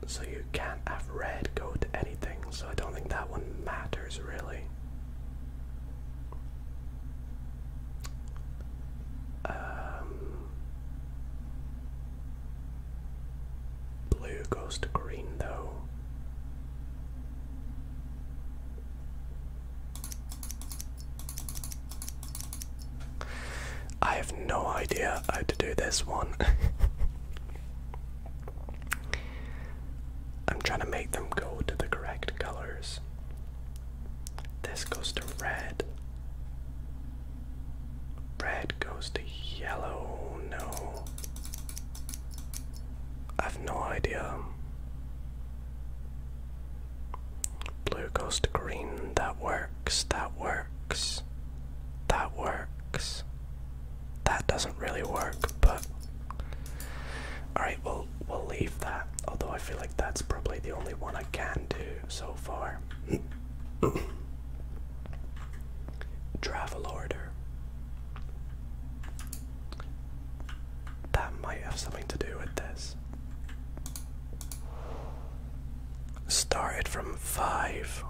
so you can't have red go to anything, so I don't think that one matters really. Um, blue goes to green though. I have no idea how to do this one. [LAUGHS] I'm trying to make them go to the correct colors. This goes to red. Red goes to yellow. No. I have no idea. Blue goes to green. That works. That works. That works. That doesn't really work, but alright, we'll we'll leave that. Although I feel like that's probably the only one I can do so far. [COUGHS] Travel order. That might have something to do with this. Started from 5,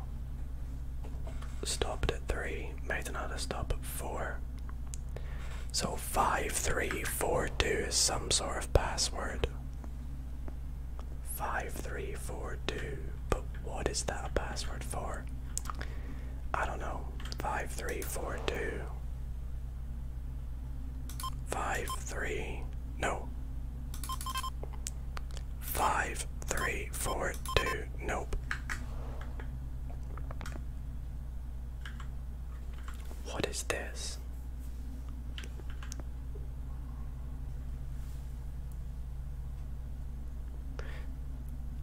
stopped at 3, made another stop at 4. So 5342 is some sort of password. 5342, but what is that password for? I don't know five three four two five three no five three four two nope what is this?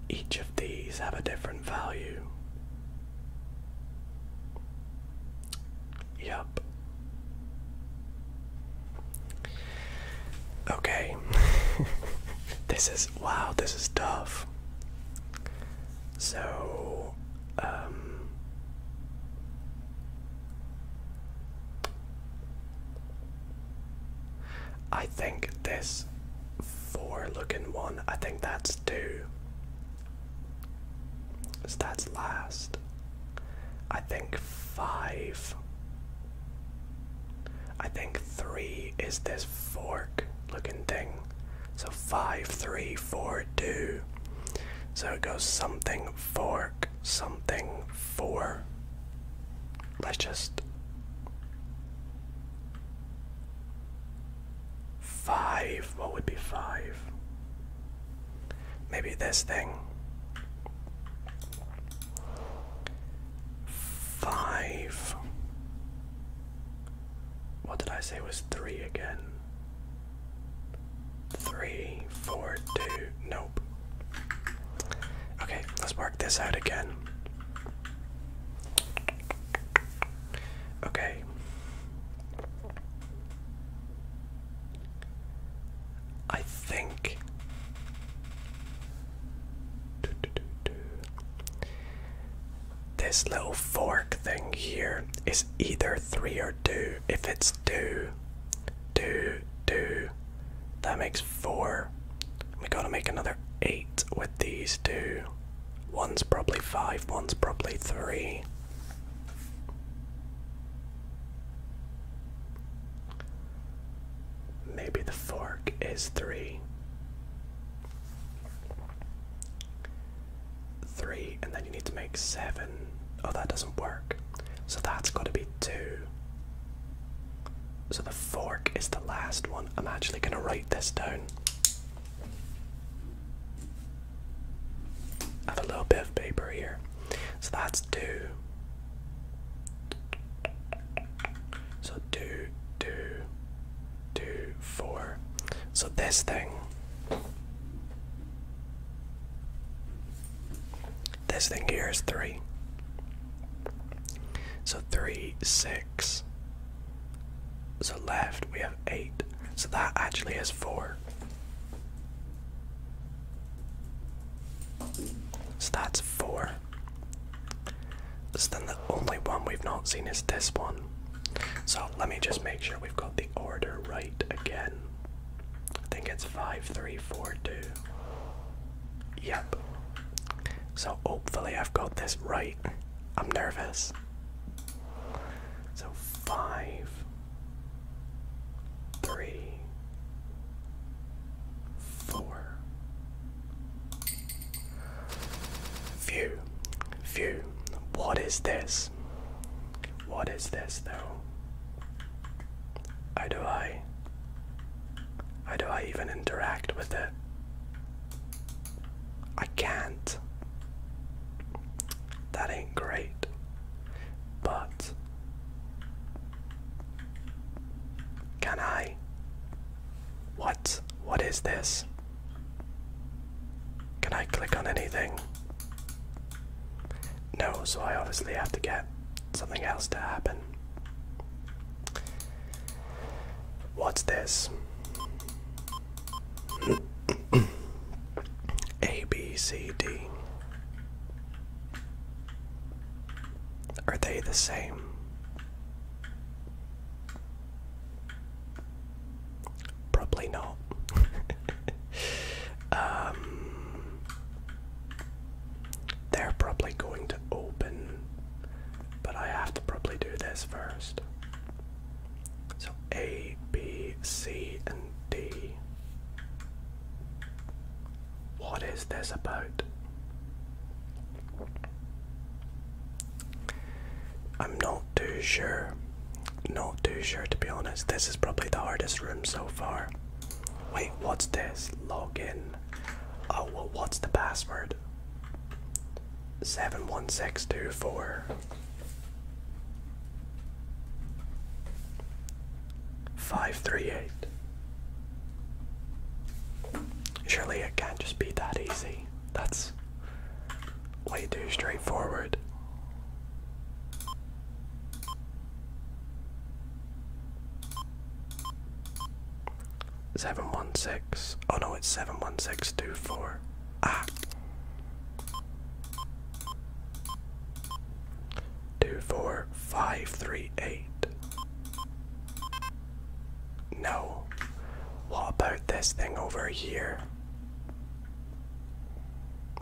Each of these have a different value. Yup. Okay. [LAUGHS] this is wow, this is tough. So, um I think this four looking one. I think that's two. So that's last. I think five. I think three is this fork looking thing. So five, three, four, two. So it goes something fork, something four let's just five. What would be five? Maybe this thing. Five. What did I say was three again? Three, four, two. Nope. Okay, let's work this out again. Okay. I think this little fork thing here is either three or two. If it's two, two, two, that makes four. We gotta make another eight with these two. One's probably five, one's probably three. Maybe the fork is three. Three, and then you need to make seven. Oh, that doesn't work. So that's gotta be two. So the fork is the last one. I'm actually going to write this down. I have a little bit of paper here. So that's two. So two, two, two, four. So this thing. This thing here is three. So three, six, so left, we have eight. So that actually is four. So that's four. So then the only one we've not seen is this one. So let me just make sure we've got the order right again. I think it's five, three, four, two. Yep. So hopefully I've got this right. I'm nervous. So five, three, four. Phew, phew. What is this? What is this, though? How do I how do I even interact with it? I can't. That ain't great. But. Can I? What? What is this? Can I click on anything? No, so I obviously have to get something else to happen. What's this? A, B, C, D. Are they the same? Probably not. [LAUGHS] um, they're probably going to open but I have to probably do this first. So A, B, C, and D. What is this about? I'm not too sure. Not too sure to be honest. This is probably the hardest room so far. Wait, what's this? Login. Oh, well, what's the password? seven one six two four five three eight. Surely it can't just be that easy. That's way too straightforward. Seven one six. Oh no, it's seven one six two four. Ah. Two four five three eight. No. What about this thing over here?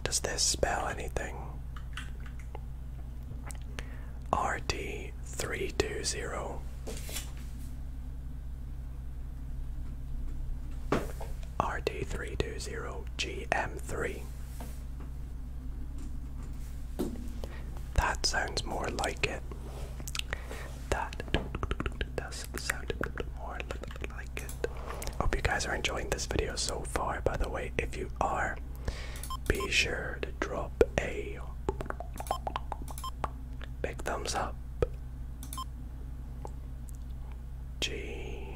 Does this spell anything? RD three two zero. RT320GM3. That sounds more like it. That does sound more like it. Hope you guys are enjoying this video so far. By the way, if you are, be sure to drop a big thumbs up G.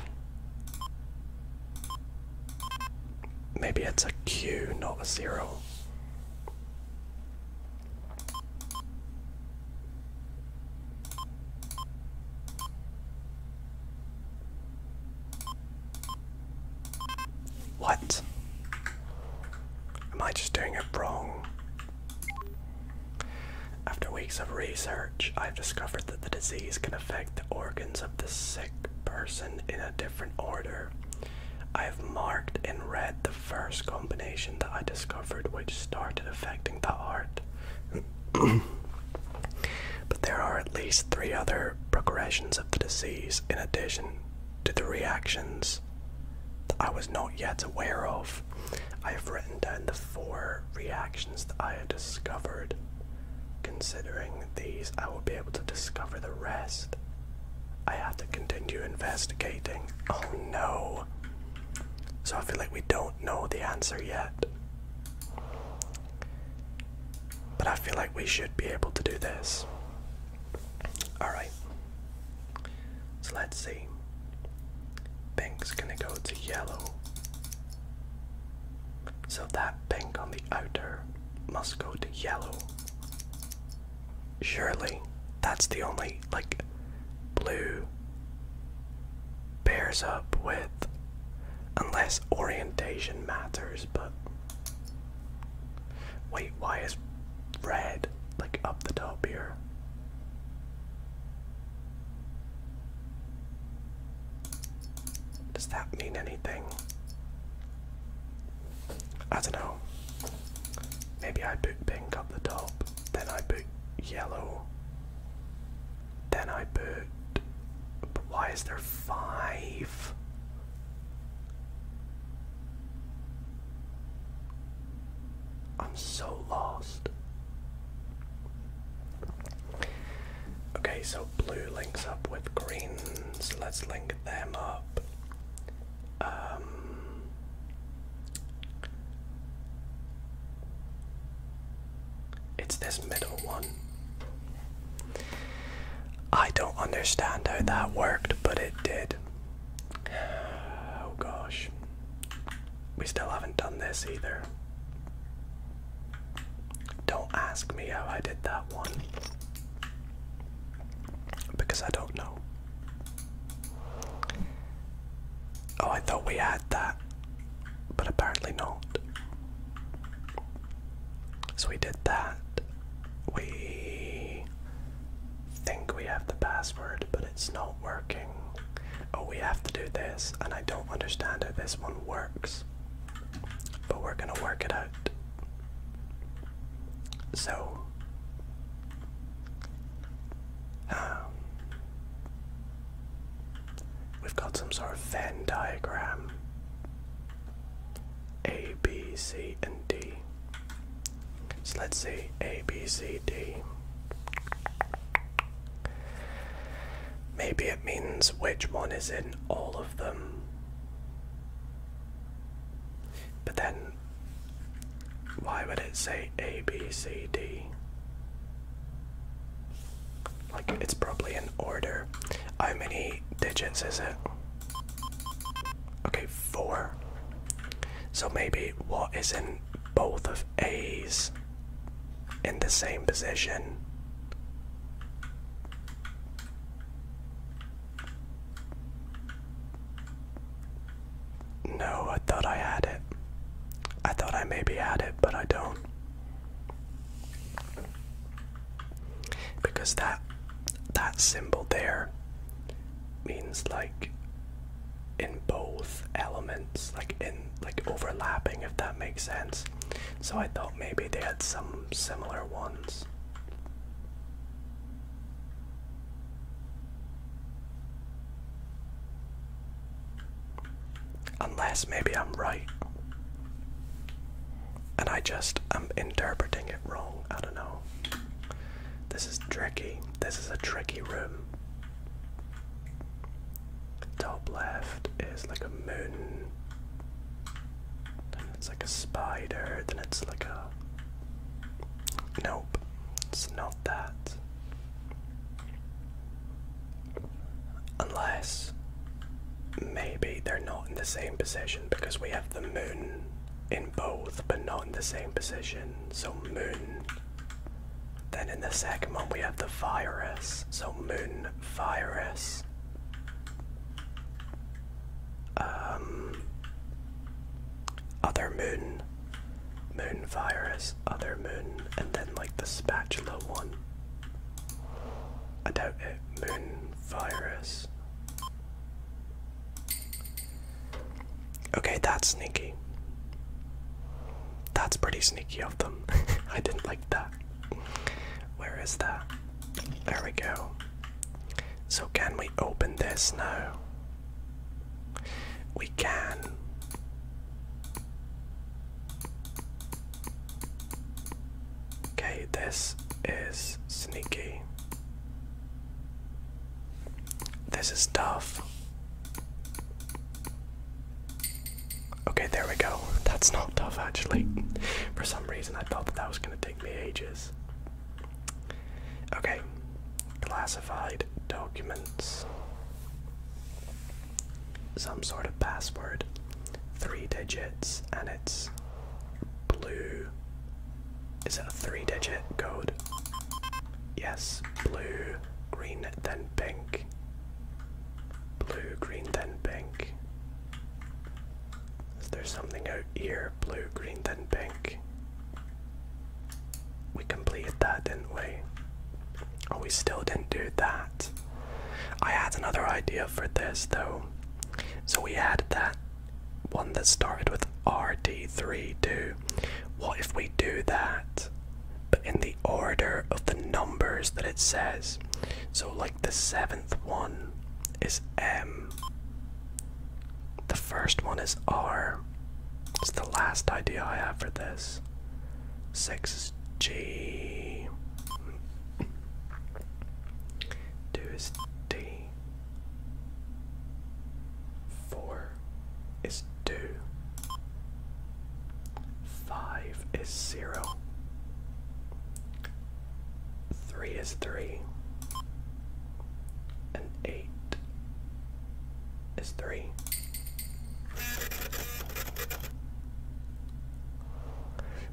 Maybe it's a Q, not a zero. What? Am I just doing it wrong? After weeks of research, I've discovered that the disease can affect the organs of the sick person in a different order. I have marked and read the first combination that I discovered which started affecting the heart. [CLEARS THROAT] but there are at least three other progressions of the disease in addition to the reactions that I was not yet aware of. I have written down the four reactions that I have discovered. Considering these, I will be able to discover the rest. I have to continue investigating. Oh no. So I feel like we don't know the answer yet. But I feel like we should be able to do this. Alright. So let's see. Pink's gonna go to yellow. So that pink on the outer must go to yellow. Surely that's the only, like, blue pairs up with. Unless orientation matters, but. Wait, why is red, like up the top here. Does that mean anything? I don't know. Maybe I put pink up the top, then I put yellow, then I put. But why is there five? I'm so lost. Okay, so blue links up with greens. let's link them up. Um, it's this middle one. I don't understand how that worked, but it did. Oh gosh. We still haven't done this either. Don't ask me how I did that one. Because I don't know. Oh, I thought we had that. But apparently not. So we did that. We think we have the password, but it's not working. Oh, we have to do this, and I don't understand how this one works. But we're gonna work it out. So. Um, we've got some sort of Venn diagram. A, B, C, and D. So let's see A, B, C, D. Maybe it means which one is in all of them. But then, why would it say A, B, C, D? Like, it's probably in order. How many digits is it? Okay, four. So maybe what is in both of A's in the same position. No, I thought I had it. I thought I maybe had it, but I don't. Because that that symbol there means like in both elements, like in like overlapping if that makes sense. So I thought maybe they had some similar ones. Unless maybe I'm right. And I just am interpreting it wrong. I don't know. This is tricky. This is a tricky room. Top left is like a moon. Then it's like a spider. Then it's like a. Nope, it's not that. Unless maybe they're not in the same position because we have the moon in both but not in the same position. So, moon then in the second one we have the virus, so moon virus. Um, other moon, moon virus, other moon, and then like the spatula one. I doubt it. Moon virus. Okay, that's sneaky. That's pretty sneaky of them. [LAUGHS] I didn't like that. Where is that? There we go. So, can we open this now? We can. Okay, this is sneaky. This is tough. Okay, there we go. That's not tough actually. For some reason, I thought that, that was going to take me ages. Okay, classified documents. Some sort of password. Three digits, and it's blue. Is it a three digit code? Yes, blue green then pink, blue, green then pink. Is there something out here? Blue, green then pink. We completed that, didn't we? Oh, we still didn't do that. I had another idea for this though. So we had that one that started with RD3 too. What if we do that but in the order of the numbers that it says. So, like the seventh one is M, the first one is R. It's the last idea I have for this. Six is G. Two is D. Four is 2. 5 is 0. 3 is 3. And 8 is 3.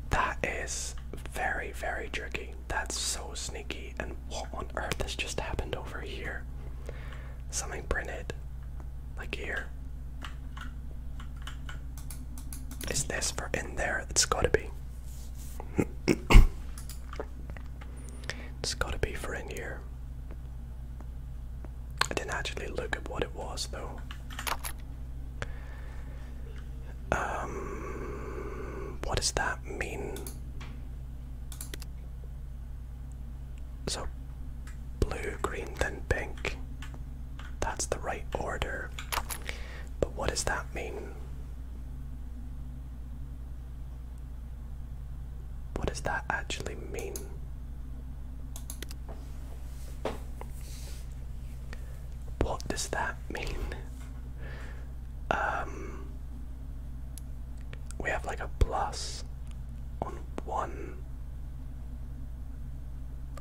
That is very, very tricky. That's so sneaky. And what on earth has just happened over here? something printed like here. Is this for in there? It's gotta be. [COUGHS] it's gotta be for in here. I didn't actually look at what it was though. Um, what does that mean? So blue, green, then pink. That's the right order. But what does that mean? What does that actually mean? What does that mean? Um we have like a plus on one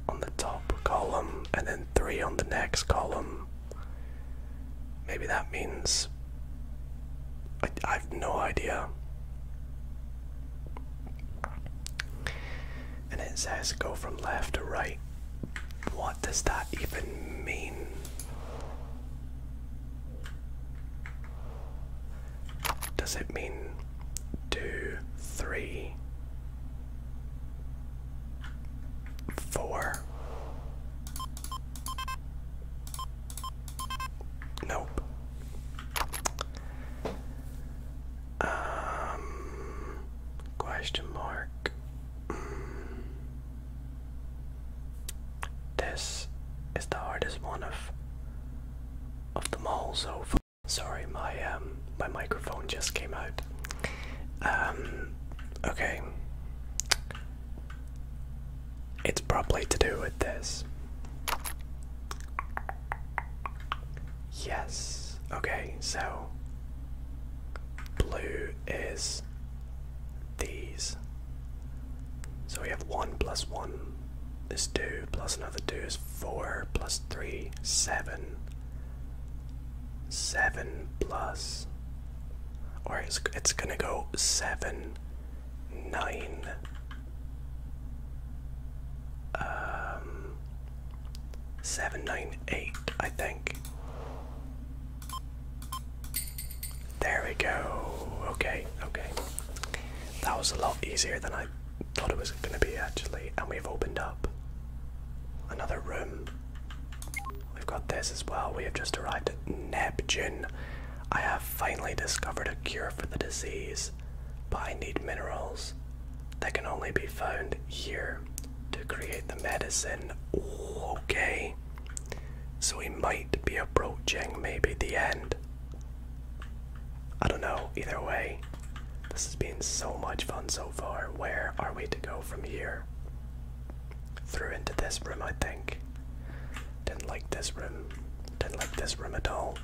on the top column and then three on the next column. Maybe that means I, have no idea. And it says go from left to right. What does that even mean? Does it mean two, three, four? Nope. Um, question mark. Mm. This is the hardest one of of the mall. so far. Sorry, my um my microphone just came out. Um okay. It's probably to do with this. Yes. Okay, so blue is these. So we have 1 plus 1 This 2, plus another 2 is 4, plus 3, 7. 7 plus. Or it's, it's gonna go 7, 9. Um, 7, 9, 8, I think. There we go. Okay, okay. That was a lot easier than I thought it was going to be actually, and we've opened up another room. We've got this as well. We have just arrived at Neptune. I have finally discovered a cure for the disease, but I need minerals that can only be found here to create the medicine. okay. So we might be approaching maybe the end I don't know. Either way, this has been so much fun so far. Where are we to go from here? Through into this room, I think. Didn't like this room. Didn't like this room at all.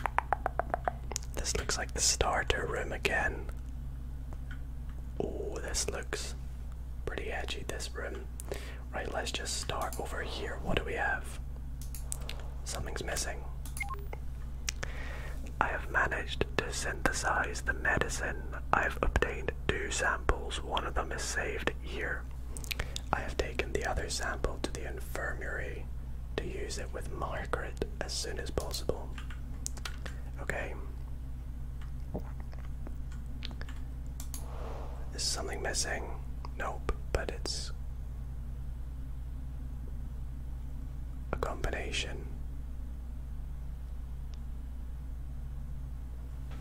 [LAUGHS] this looks like the starter room again. Oh, this looks pretty edgy, this room. Right, let's just start over here. What do we have? Something's missing. I have managed to synthesize the medicine. I've obtained two samples. One of them is saved here. I have taken the other sample to the infirmary to use it with Margaret as soon as possible. Okay. Is something missing? Nope, but it's a combination.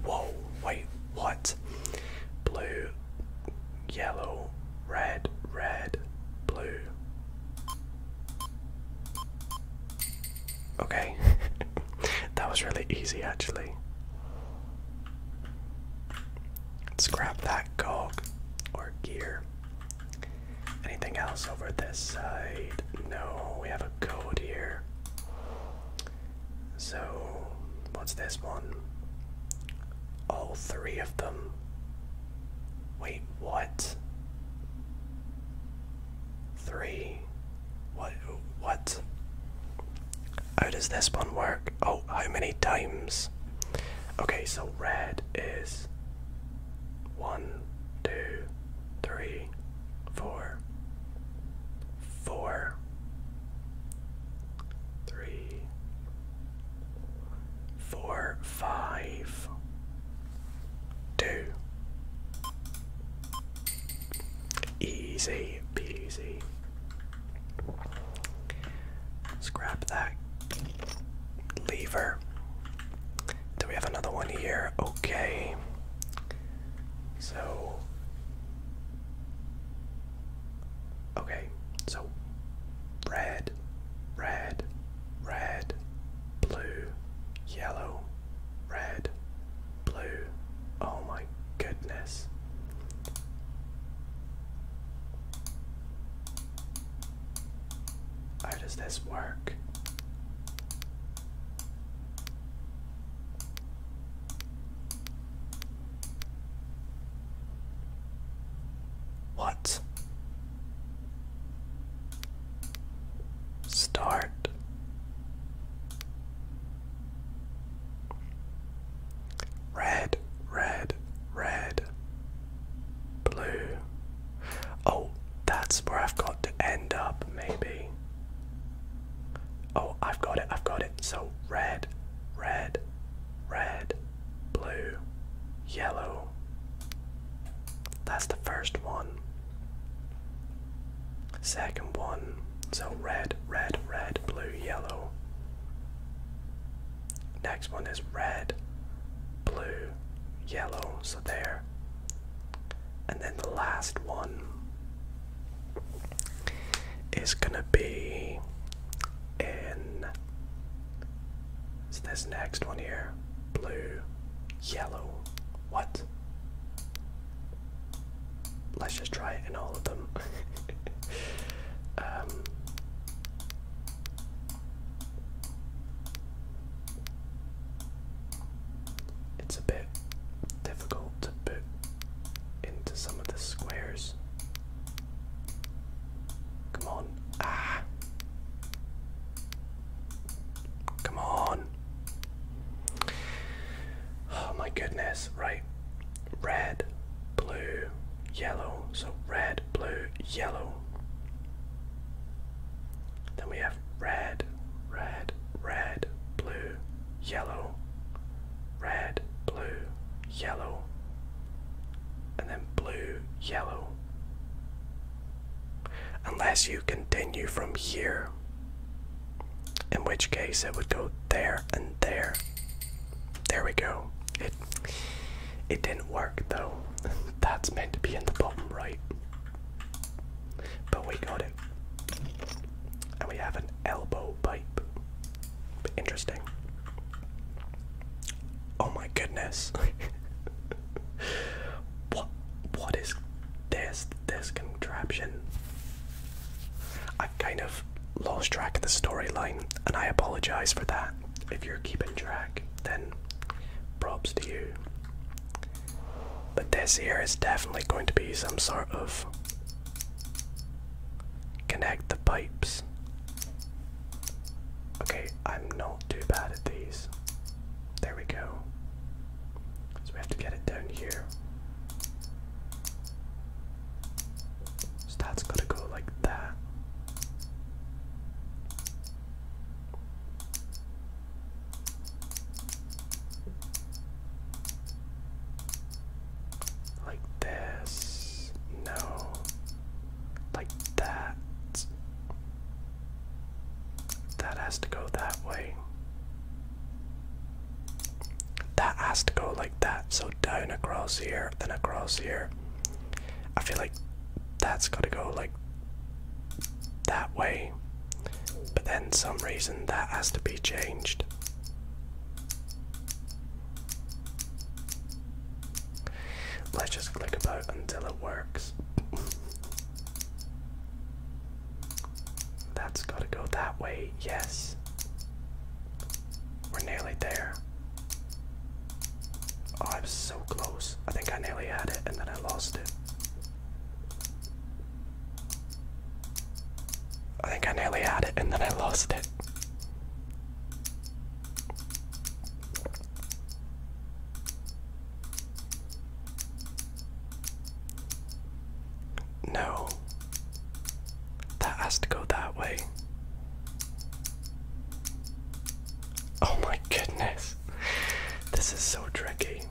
Whoa, wait, what? Blue, yellow, red, red, blue. Okay, [LAUGHS] that was really easy actually let grab that cog or gear. Anything else over this side? No, we have a code here. So, what's this one? All three of them. Wait, what? Three? What? What? How does this one work? Oh, how many times? Okay, so red is one, two, three, four, four, three, four, five, two. Easy peasy let grab that lever. Do we have another one here? Okay. So. Okay, so red, red, red, blue, yellow, red, blue. Oh my goodness. How does this work? What? Start. Red, red, red, blue. Oh, that's where I've got to end up, maybe. Oh, I've got it, I've got it. So red, red, red, blue, yellow. That's the first one. Second one. So red, red, red, blue, yellow. Next one is red, blue, yellow, so there. And then the last one is gonna be in this next one here blue, yellow. What? Let's just try it in all of them. [LAUGHS] Um, it's a bit difficult to put into some of the squares. Come on. Ah. Come on. Oh my goodness. Right red, blue, yellow. So red, blue, yellow. Then we have red, red, red, blue, yellow, red, blue, yellow, and then blue, yellow. Unless you continue from here, in which case it would go there and there there we go. It it didn't work though. [LAUGHS] That's meant to be in the bottom right. But we got it. And we have an elbow pipe. Interesting. Oh my goodness. [LAUGHS] what what is this this contraption? kind of lost track of the storyline, and I apologize for that. If you're keeping track, then props to you. But this here is definitely going to be some sort of connect the pipes. Okay, I'm not too bad at these. There we go. So we have to get it down here. So that's gotta go like that. Like this. No. Like that. That has to go that way. That has to go like that. So down across here, then across here. I feel like that's gotta go like that way. But then some reason that has to be changed. Let's just click about until it works. That's gotta go that way, yes. We're nearly there. Oh, I was so close. I think I nearly had it and then I lost it. I think I nearly had it and then I lost it. No. That has to go that way. Oh my goodness. This is so tricky.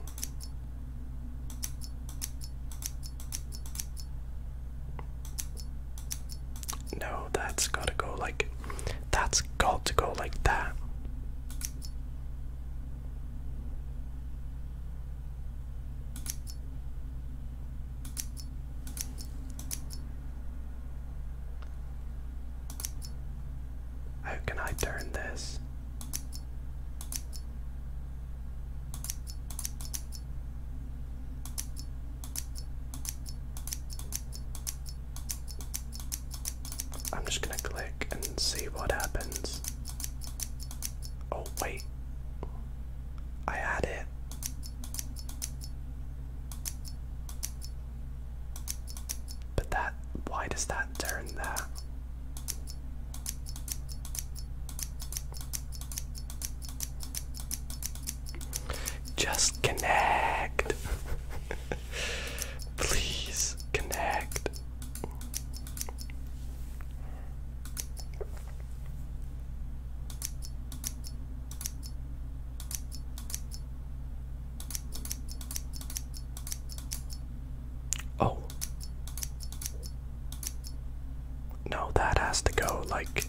No, that's gotta go like that's got to go like that. How can I turn this? I'm just going to click and see what happens. Oh, wait. I had it. But that, why does that turn that? Just connect. [LAUGHS] Please connect. Oh. No, that has to go like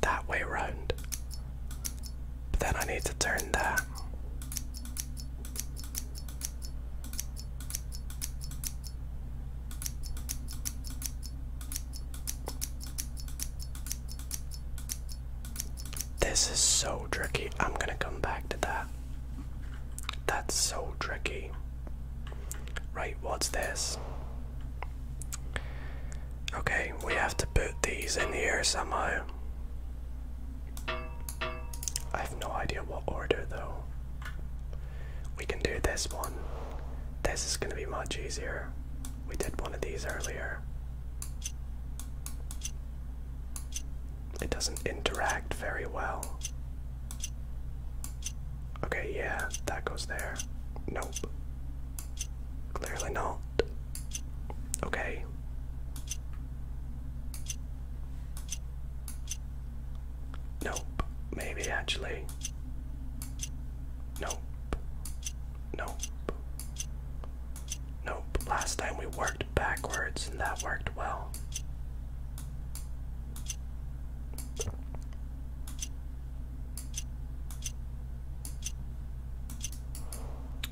that way around. then I need to turn that. This is so tricky. I'm gonna come back to that. That's so tricky. Right, what's this? Okay, we have to put these in here somehow. I have no idea what order though. We can do this one. This is gonna be much easier. We did one of these earlier. It doesn't interact very well. Okay, yeah, that goes there. Nope. Clearly not. Okay. Nope. Maybe actually. Nope. Nope. Nope. Last time we worked backwards and that worked well.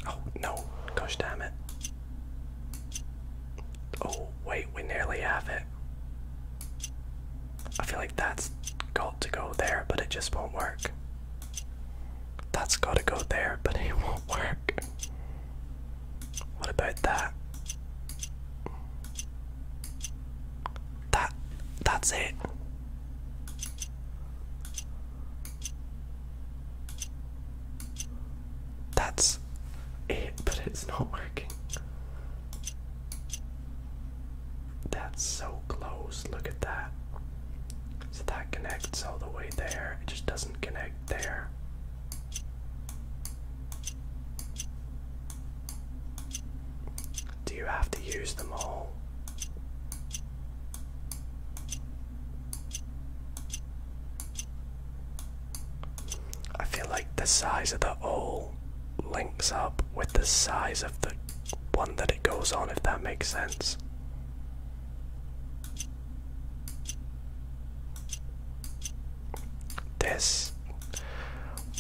Oh no, gosh damn it. Oh wait, we nearly have it. I feel like that's got to go there, but it just won't work. That's gotta go there, but it won't work. What about that? That that's it. That's it, [LAUGHS] but it's not working. That's so close. Look at that. So that connects all the way there. It just doesn't connect there. Do you have to use them all? I feel like the size of the O links up with the size of the one that it goes on, if that makes sense. This.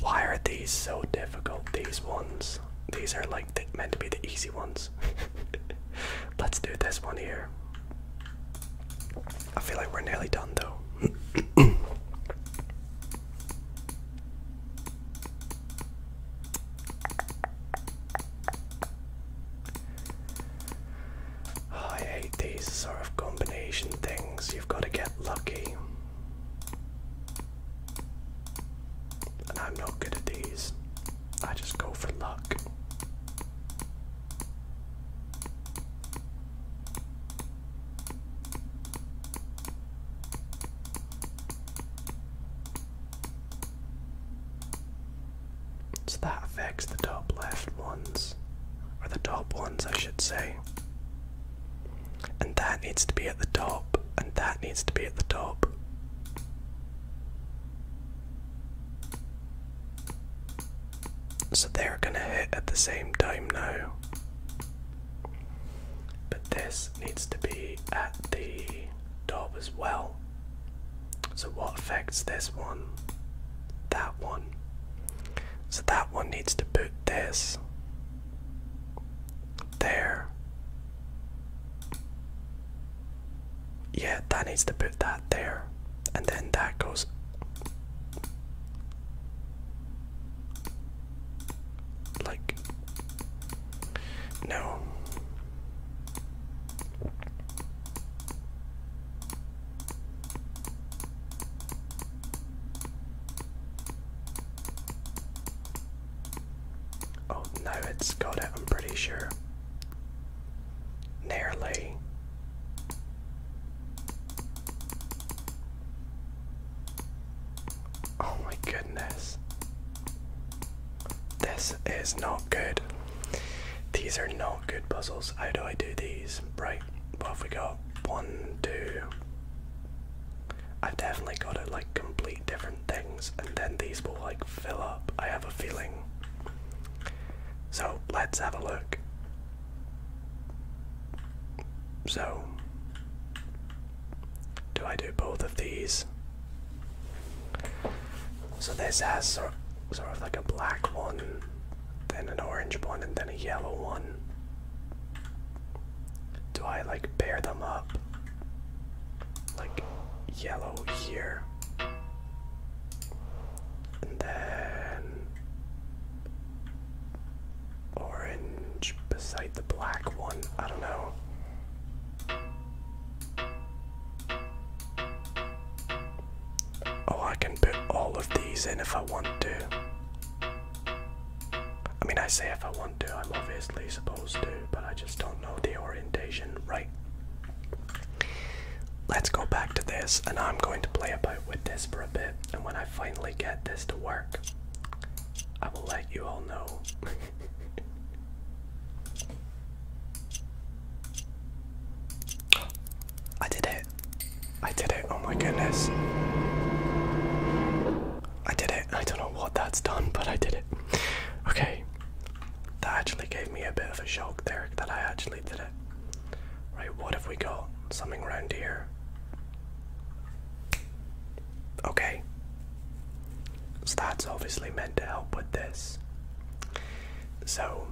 Why are these so difficult? These ones. These are like meant to be the easy ones. [LAUGHS] Let's do this one here. I feel like we're nearly done though. [CLEARS THROAT] Oh, I hate these sort of combination things. You've got to get lucky. And I'm not good at these. I just go for luck. So that affects the top left ones, or the top ones, I should say. And that needs to be at the top, and that needs to be at the top. So they're gonna hit at the same time now. But this needs to be at the top as well. So what affects this one? That one. So that one needs to put this there. Yeah, that needs to put that there. And then that goes. Like no. Oh, no, it's got it, I'm pretty sure. Nearly. Oh my goodness. This is not good. These are not good puzzles. How do I do these? Right, what have we got? One, two. I've definitely got to like complete different things and then these will like fill up. I have a feeling. So let's have a look. So do I do both of these? So this has sort of, like a black one, then an orange one, and then a yellow one. Do I like pair them up? Like yellow here. And then orange beside the black one. I don't know. Oh, I can put all of these in if I want to. I mean, I say if I want to, I'm obviously supposed to, but I just don't know the orientation. Right. Let's go back to this, and I'm going to play about with this for a bit, and when I finally get this to work, I will let you all know. [LAUGHS] I did it. I did it. Oh my goodness. I did it. I don't know what that's done, but I did it. Okay. That actually gave me a bit of a shock there that I actually did it. Right, what have we got? Something around here. Okay. So that's obviously meant to help with this. So.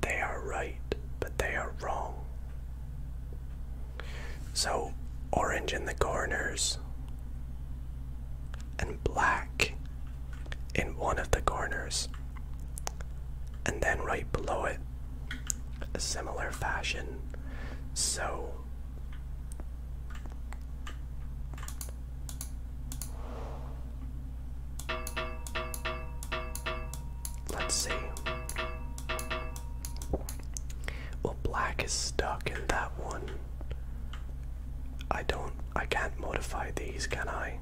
They are right, but they are wrong. So, orange in the corners and black in one of the corners. And then right below it, a similar fashion. So, Let's see. Well, black is stuck in that one. I don't. I can't modify these, can I?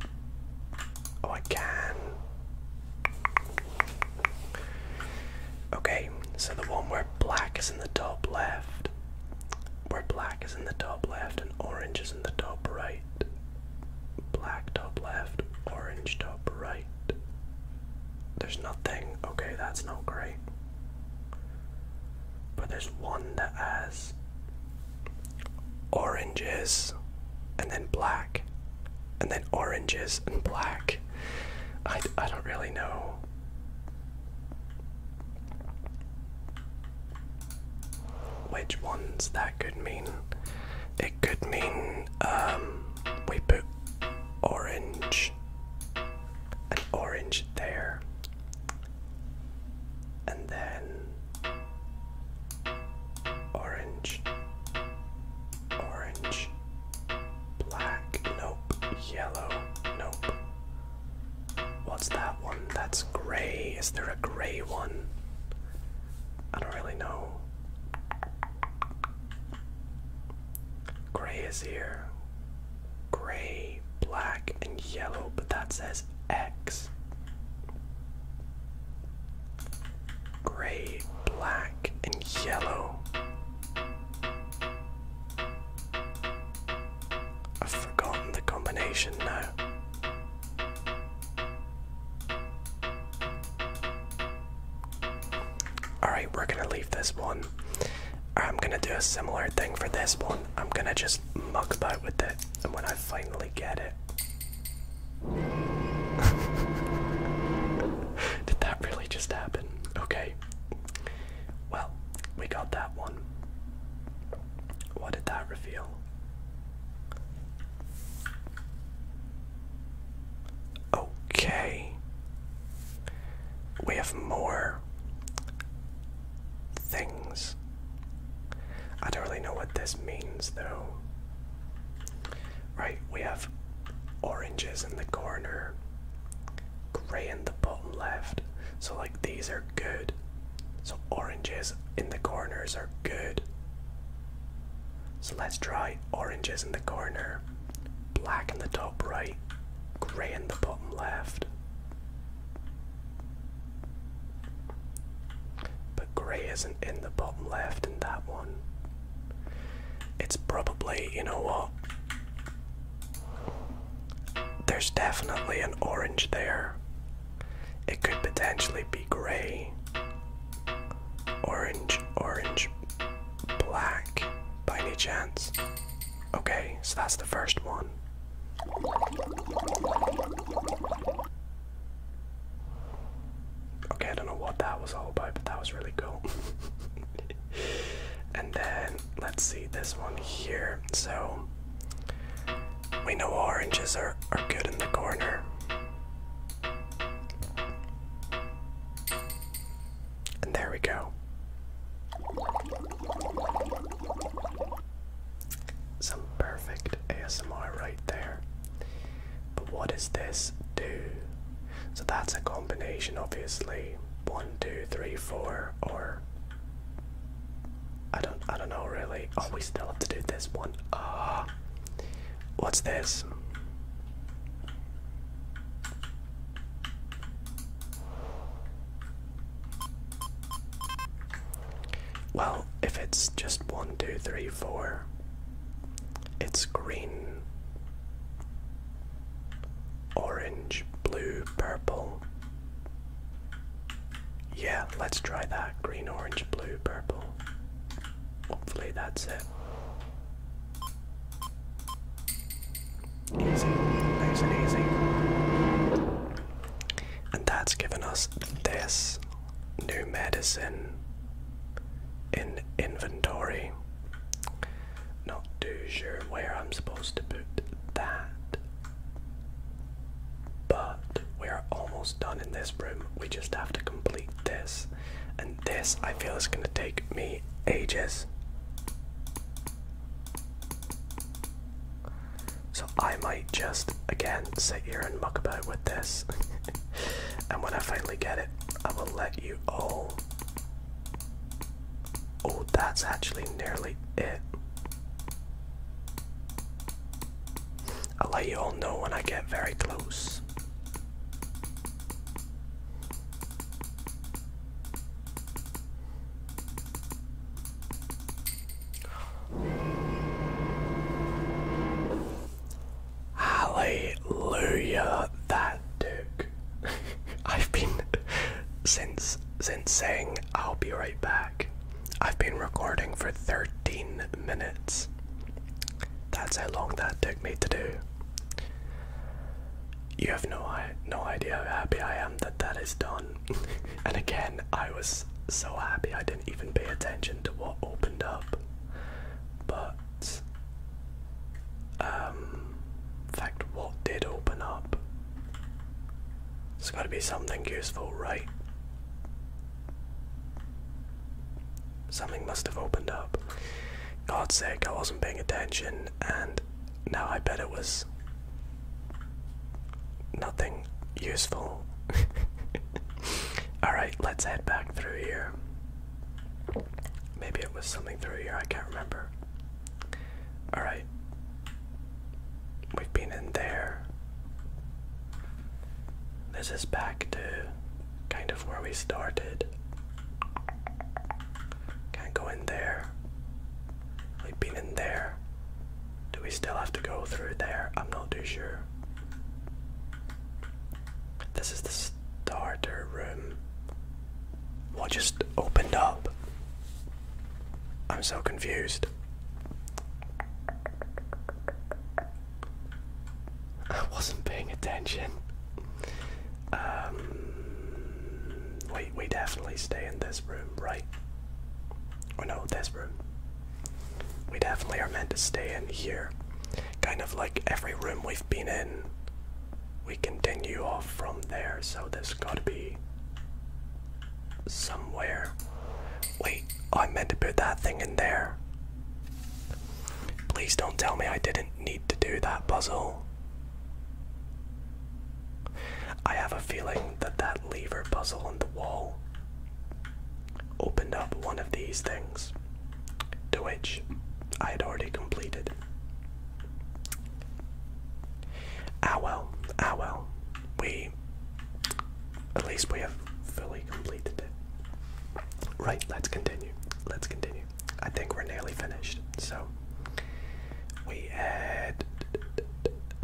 Oh, I can. Okay, so the one where black is in the top left, where black is in the top left and orange is in the top right. Black top left, orange top right. There's nothing, okay, that's not great. But there's one that has oranges and then black and then oranges and black. I, I don't really know. Which ones that could mean? It could mean um, we put orange, an orange there, and then orange, orange, Black, nope. Yellow, nope. What's that one? That's grey. Is there a grey one? I don't really know. Grey is here. Grey, black, and yellow, but that says X. Grey, black, and yellow. I've forgotten the combination now. Alright, we're gonna leave this one. I'm gonna do a similar thing for this one. I'm gonna just muck about with it, and when I finally get it. [LAUGHS] Did that really just happen? Okay. Well, we got that one. What did that reveal? Okay. We have more things. I don't really know what this means though. Right, we have oranges in the corner grey in the bottom left. So like these are good. So oranges in the corners are good. So let's try oranges in the corner, black in the top right, grey in the bottom left. But grey isn't in the bottom left in that one. It's probably, you know what? There's definitely an orange there. It could potentially be gray. Orange, orange, black, by any chance. Okay, so that's the first one. Okay, I don't know what that was all about, but that was really cool. [LAUGHS] [LAUGHS] and then let's see this one here. So we know oranges are, are good in the corner. And there we go. Some perfect ASMR right there. But what does this do? So that's a combination, obviously, one, two, three, four, or I don't I don't know really. Oh we still have to do this one. Ah, what's this? Well, if it's just one, two, three, four, it's green. Orange, blue, purple. Yeah, let's try that. Green, orange, blue, purple. Hopefully that's it. Easy, nice and easy. And that's given us this new medicine in inventory. Not too sure where I'm supposed to put that. But we're almost done in this room. We just have to complete this. And this, I feel, is going to take me ages. So I might just, again, sit here and muck about with this. [LAUGHS] and when I finally get it, I will let you all Oh, that's actually nearly it. I'll let you all know when I get very close. Hallelujah, that took. [LAUGHS] I've been since since saying I'll be right back, I've been recording for 13 minutes. That's how long that took me to do. You have no I no idea how happy I am that that is done. [LAUGHS] and again, I was so happy I didn't even pay attention to what opened up. But um fact what did open up there's got to be something useful, right? Something must have opened up. God's sake, I wasn't paying attention, and now I bet it was nothing useful. [LAUGHS] Alright, let's head back through here. Maybe it was something through here, I can't remember. Alright. We've been in there. This is back to kind of where we started. Can't go in there. We've been in there. Do we still have to go through there? I'm not too sure. This is the starter room. What just opened up? I'm so confused. I wasn't paying attention. Um, we, we definitely stay in this room, right? Or no, this room. We definitely are meant to stay in here. Kind of like every room we've been in we continue off from there, so there's gotta be somewhere. Wait, oh, I meant to put that thing in there. Please don't tell me I didn't need to do that puzzle. I have a feeling that that lever puzzle on the wall opened up one of these things, to which I had already completed. Ah well, ah well. We. At least we have fully completed it. Right, let's continue. Let's continue. I think we're nearly finished. So. We head.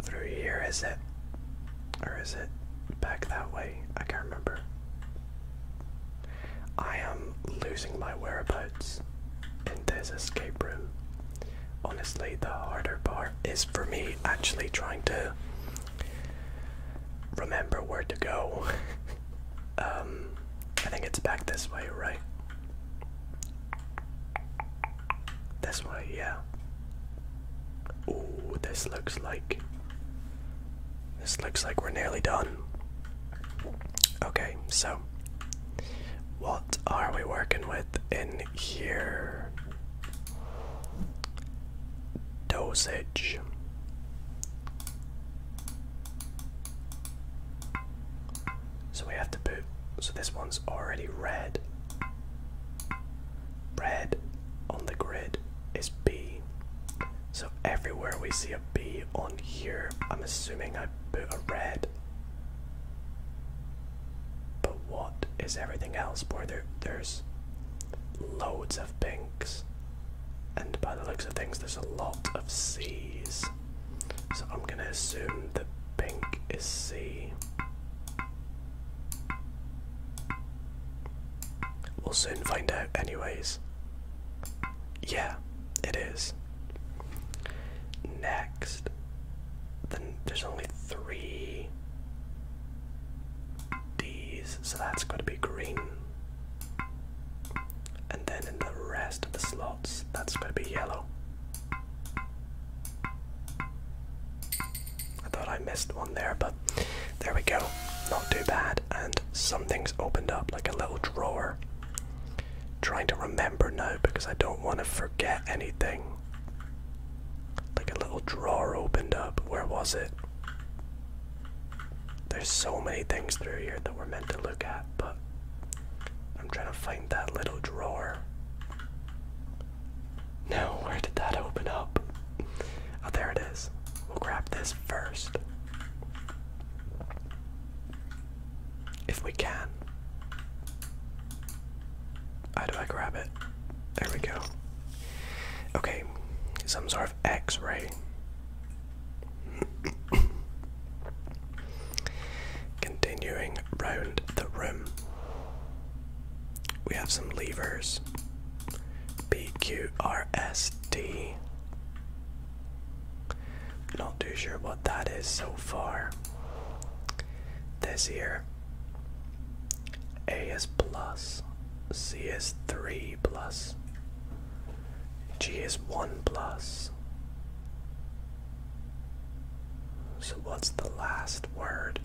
Through here, is it? Or is it back that way? I can't remember. I am losing my whereabouts episodes in this escape room. Honestly, the harder part is for me actually trying to remember where to go. [LAUGHS] Um, I think it's back this way, right? This way, yeah. Oh, this looks like. This looks like we're nearly done. Okay, so. What what are we working with in here? Dosage. So we have to put. So this one's already red. Red on the grid is B. So everywhere we see a B on here, I'm assuming I am put a red. But what is everything else? boy? there there's loads of pinks. And by the looks of things there's a lot of C's. So I'm gonna assume that pink is C. We'll soon find out anyways. Yeah, it is. Next, there's only three D's, so that's going to be green. And then in the rest of the slots, that's going to be yellow. I thought I missed one there, but there we go. Not too bad, and something's opened up like a little drawer trying to remember now because I don't want to forget anything. Like a little drawer opened up. Where was it? There's so many things through here that we're meant to look at, but I'm trying to find that little drawer. No, [LAUGHS] where did that open up? Oh, there it is. We'll grab this first if we can. How do I grab it? There we go. Okay, some sort of x ray. [COUGHS] Continuing round the room, we have some levers P Q R S D. Not too sure what that is so far. This year, A is plus, C is 3 plus, G is 1 plus. So what's the last word?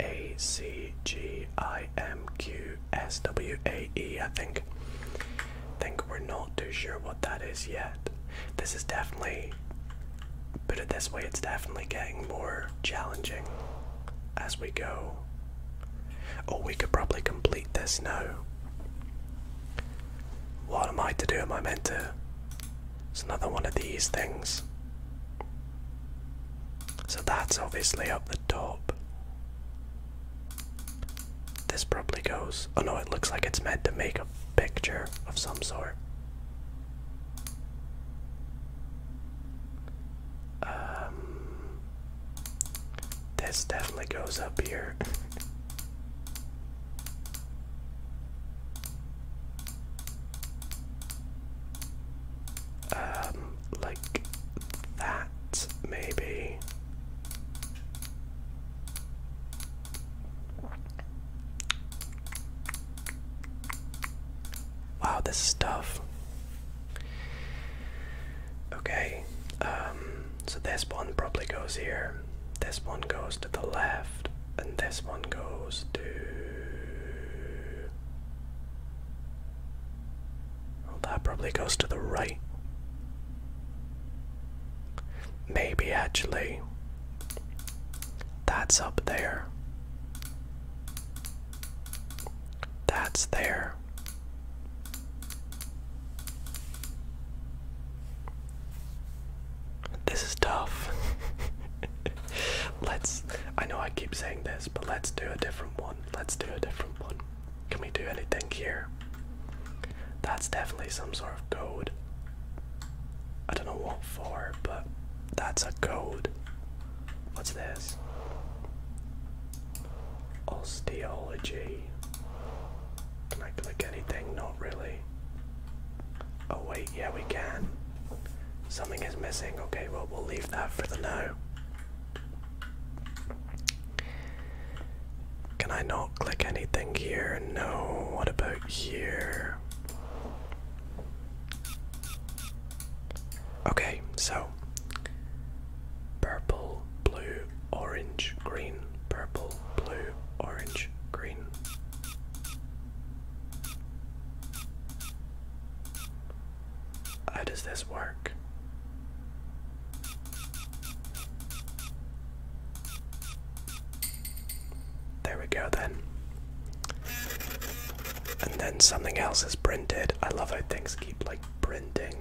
A, C, G, I, M, Q, S, W, A, E, I think. think we're not too sure what that is yet. This is definitely but at this way, it's definitely getting more challenging as we go. Oh, we could probably complete this now. What am I to do? Am I meant to? It's another one of these things. So that's obviously up the top. This probably goes. Oh no, it looks like it's meant to make a picture of some sort. Um, this definitely goes up here. [LAUGHS] um, like that, maybe. Wow, this is tough. Okay, um, so this one probably goes here. This one goes to the left, and this one goes to. that probably goes to the right. Maybe actually, that's up there. That's there. This is tough. [LAUGHS] let's. I know I keep saying this, but let's do a different one. Let's do a different one. Can we do anything here? That's definitely some sort of code. I don't know what for, but that's a code. What's this? Osteology. Can I click anything? Not really. Oh wait, yeah we can. Something is missing. Okay, well we'll leave that for the now. Can I not click anything here? No. What about here? Okay, so purple, blue, orange, green, purple, blue, orange, green. How does this work? There we go then. And then something else is printed. I love how things keep like printing.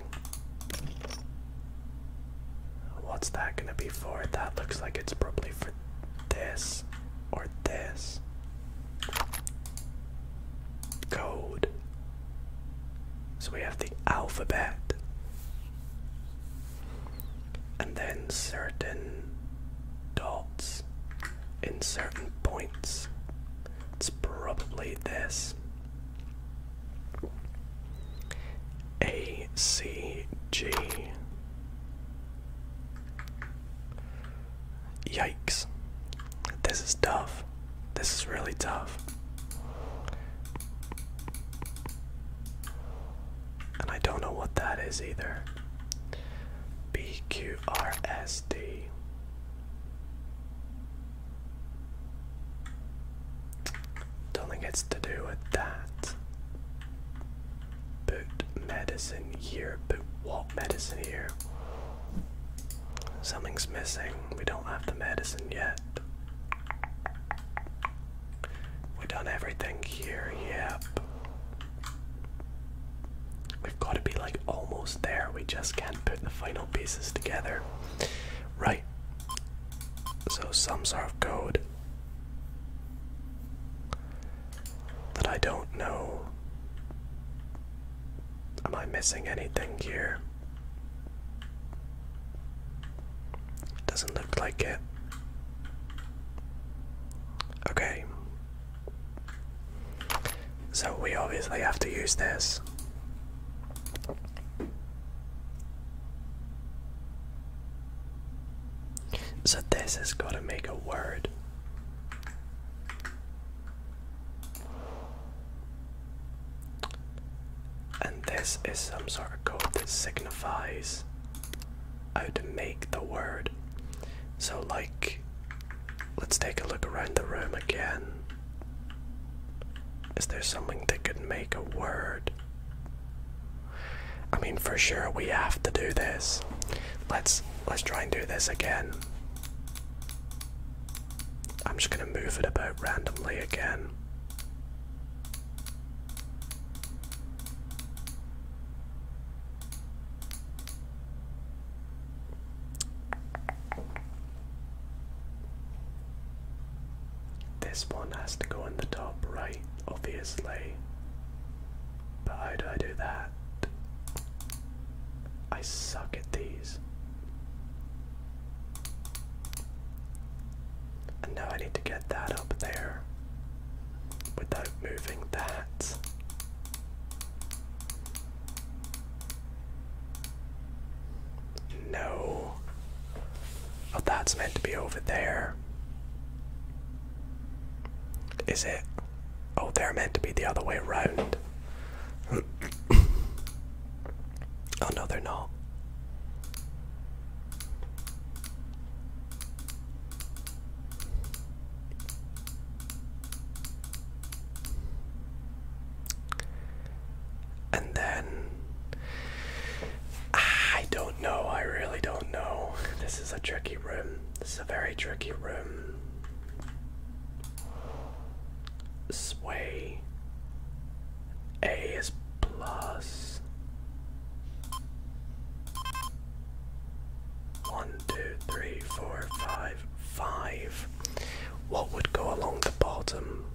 What's that gonna be for? That looks like it's probably for this or this. Code. So we have the alphabet and then certain dots in certain points. It's probably this. A C G. Yikes. This is tough. This is really tough. And I don't know what that is either. P Q Don't think it's to do with that. Put medicine here, but what medicine here? Something's missing. We don't have the medicine yet. We've done everything here, yep. We've got to be like almost there. We just can't put the final pieces together. Right. So some sort of code that I don't know. Am I missing anything here? Doesn't look like it. Okay. So we obviously have to use this. So this has got to make a word. And this is some sort of code that signifies how to make the word. So, like, let's take a look around the room again. Is there something that could make a word? I mean, for sure we have to do this. Let's let's try and do this again. I'm just gonna move it about randomly again. This one has to go in the top right, obviously. But how do I do that? I suck at these. And now I need to get that up there without moving that. No. Oh, that's meant to be over there. Is it? Oh, they're meant to be the other way round. [COUGHS] oh, no, they're not. And then I don't know. I really don't know. This is a tricky room. This is a very tricky room. Sway A is plus. 1 one, two, three, four, five, five. What would go along the bottom?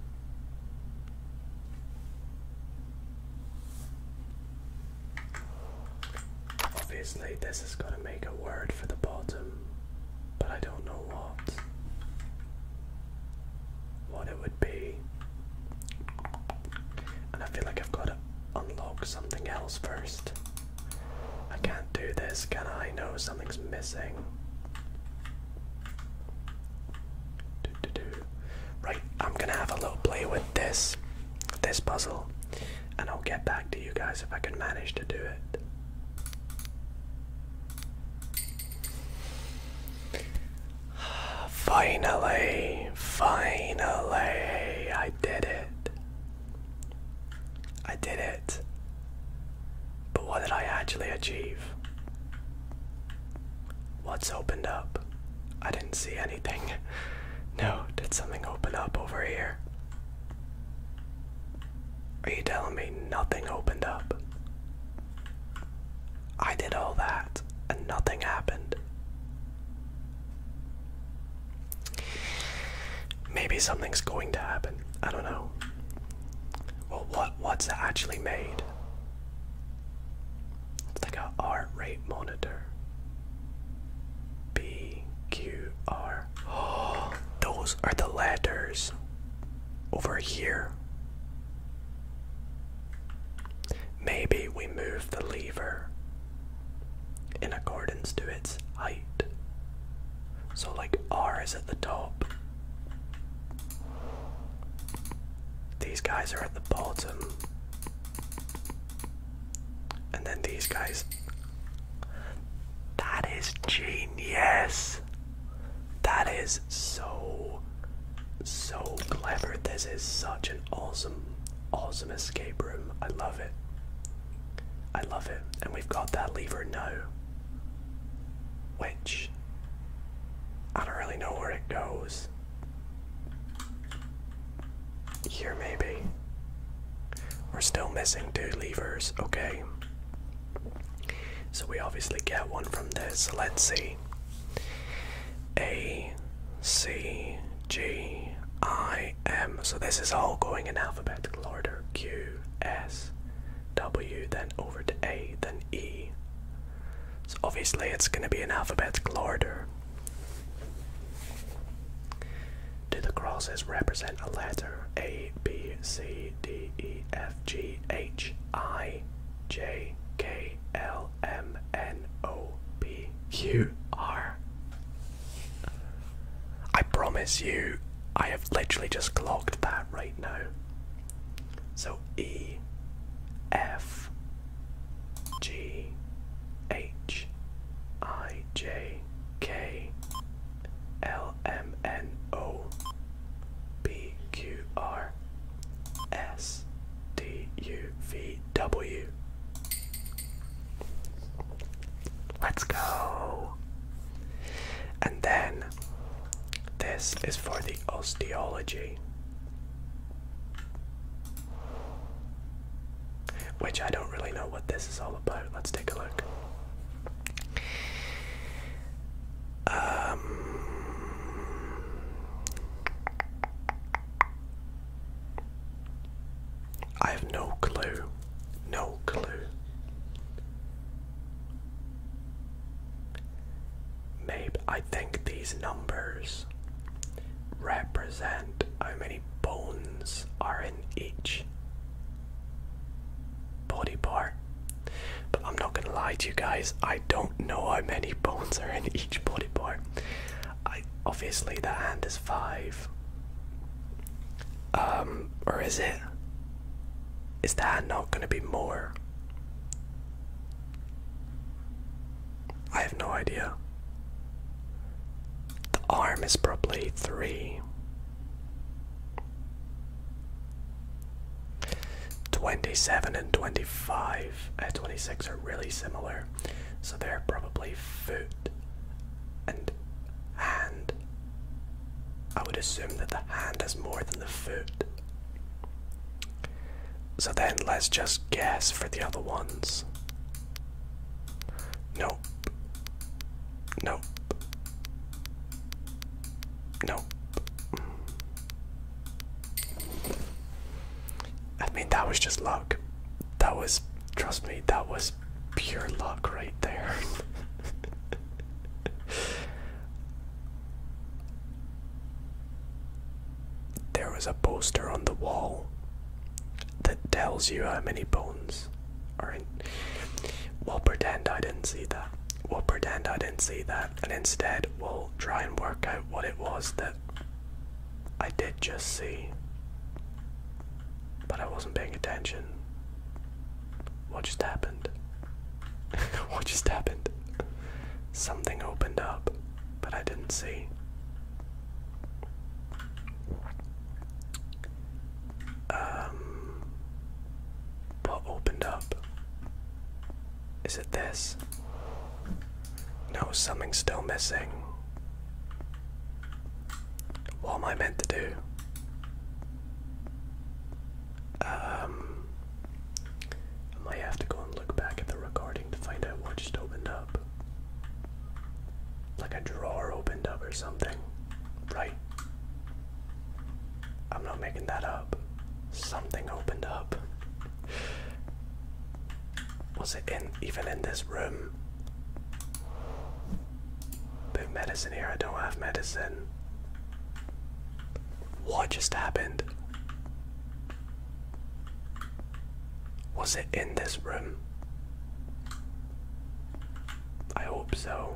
Obviously, this is going to make a word for the bottom, but I don't know what. What it would be. And I feel like I've got to unlock something else first. I can't do this, can I? No, something's missing. Right, I'm gonna have a little play with this, this puzzle, and I'll get back to you guys if I can manage to do it. [SIGHS] Finally, finally, I did it. I did it. But what did I actually achieve? What's opened up? I didn't see anything. [LAUGHS] No, did something open up over here? Are you telling me nothing opened up? I did all that and nothing happened. Maybe something's going to happen. I don't know. Well, what what's actually made? It's like a heart rate monitor. B Q R. Oh, [GASPS] those are the letters over here. Maybe we move the lever in accordance to its height. So, like R is at the top, these guys are at the bottom, and then these guys. That is genius! That is so, so clever. This is such an awesome awesome escape room. I love it. I love it. And we've got that lever now. Which I don't really know where it goes. Here maybe. We're still missing two levers, okay. So we obviously get one from this. Let's see. A C, G, I, M. So this is all going in alphabetical order. Q, S, W, then over to A, then E. So obviously it's going to be in alphabetical order. Do the crosses represent a letter? A, B, C, D, E, F, G, H, I, J, K, L, M, N, O, P, Q, R. I promise you, I have literally just clocked that right now. So E, F, G, H, I, J, K, L, M, N, O, P, Q, R, S, T, U, V, W. Let's go. And then this is for the osteology. Which I don't really know what this is all about. Let's take a look. Um, I have no clue. No clue. Maybe I think these numbers represent how many bones are in each body part. But I'm not gonna lie to you guys, I don't know how many bones are in each body part. I obviously the hand is five. Um, or is it? Is that not going to be more? I have no idea. The arm is probably three. 27 and 25 and uh, 26 are really similar so they're probably and hand. I would assume that the hand has more than the foot. So then let's just guess for the other ones. Nope. Nope. Nope. I mean, that was just luck. That was, trust me, that was pure luck right there. there was a poster on the wall that tells you how many bones are in. We'll pretend I didn't see that. We'll pretend I didn't see that, and instead we'll try and work out what it was that I did just see but I wasn't paying attention. What just happened? [LAUGHS] what just happened? Something opened up, but I didn't see. Um, what opened up? Is it this? No, something's still missing. What am I meant to do? Um, I might have to go and look back at the recording to find out what just opened up. Like a drawer opened up or something, right? I'm not making that up. Something opened up. Was it in even in this room? Big medicine here. I don't have medicine. What just happened? Was it in this room? I hope so.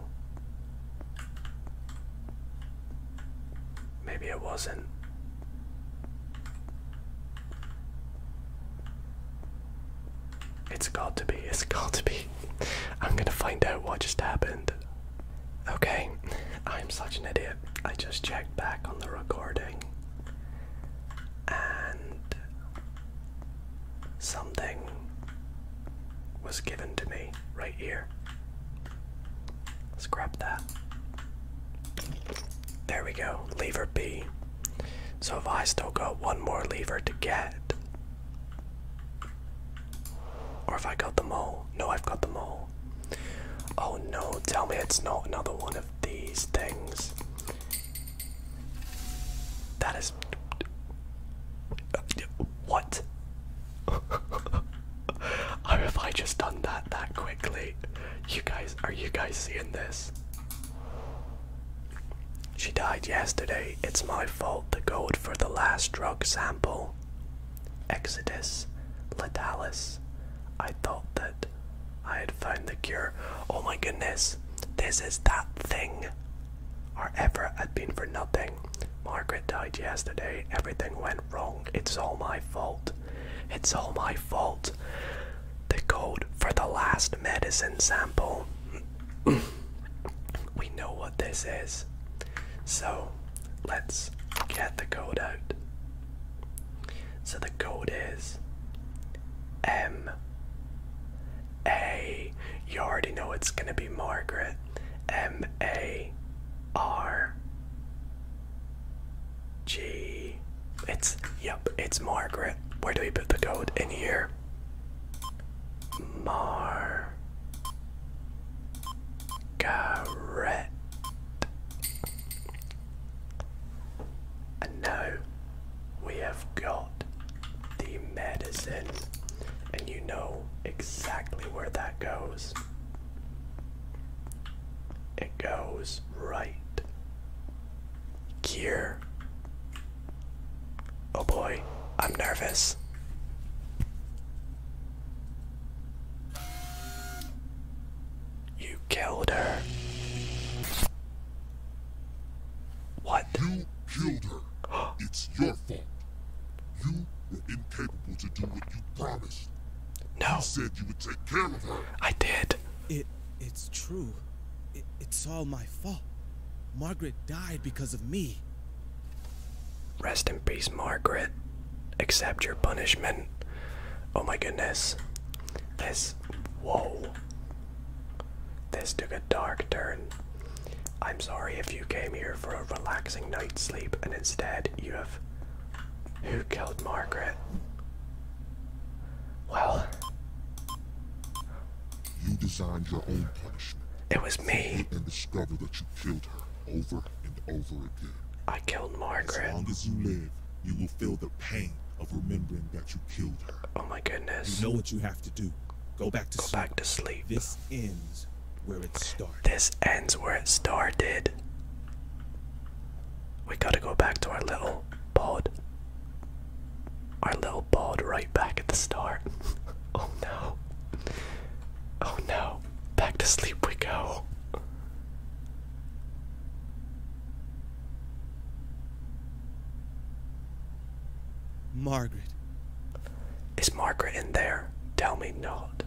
Maybe it wasn't. It's got to be, it's got to be. I'm gonna find out what just happened. Okay, I'm such an idiot. I just checked back on the recording and something was given to me right here. Let's grab that. There we go, lever B. So if I still got one more lever to get, or if I got them all, no, I've got them all. Oh no, tell me it's not another one of these things. That is. What? [LAUGHS] How have I just done that that quickly? You guys, are you guys seeing this? She died yesterday. It's my fault. The code for the last drug sample. Exodus. Letalis. I thought that I had found the cure. Oh my goodness. This is that thing. Our effort had been for nothing. Margaret died yesterday. Everything went wrong. It's all my fault. It's all my fault. The code for the last medicine sample we know what this is. So let's get the code out. So the code is M A. You already know it's gonna be Margaret. M A R G. It's, yep, it's Margaret. Where do we put the code? In here. Mar And now we have got the medicine, and you know exactly where that goes. It goes right here. Oh boy, I'm nervous. You killed her. What? You killed her. it's your fault. You were incapable to do what you promised. No. You said you would take care of her. I did. It it's true it's all my fault. Margaret died because of me. Rest in peace, Margaret. Accept your punishment. Oh my goodness. This. Whoa. This took a dark turn. I'm sorry if you came here for a relaxing night's sleep and instead you have. Who killed Margaret? Well. You designed your own punishment. It was me. And discover that you killed her over and over again. I killed Margaret. As long as you live, you will feel the pain of remembering that you killed her. Oh my goodness. You know what you have to do. Go back to Go sleep. back to sleep. This ends where it started. This ends where it started. We gotta go back to our little pod our little bald right back at the start. [LAUGHS] oh no. Oh no. Back to sleep we go. Margaret. Is Margaret in there? Tell me not.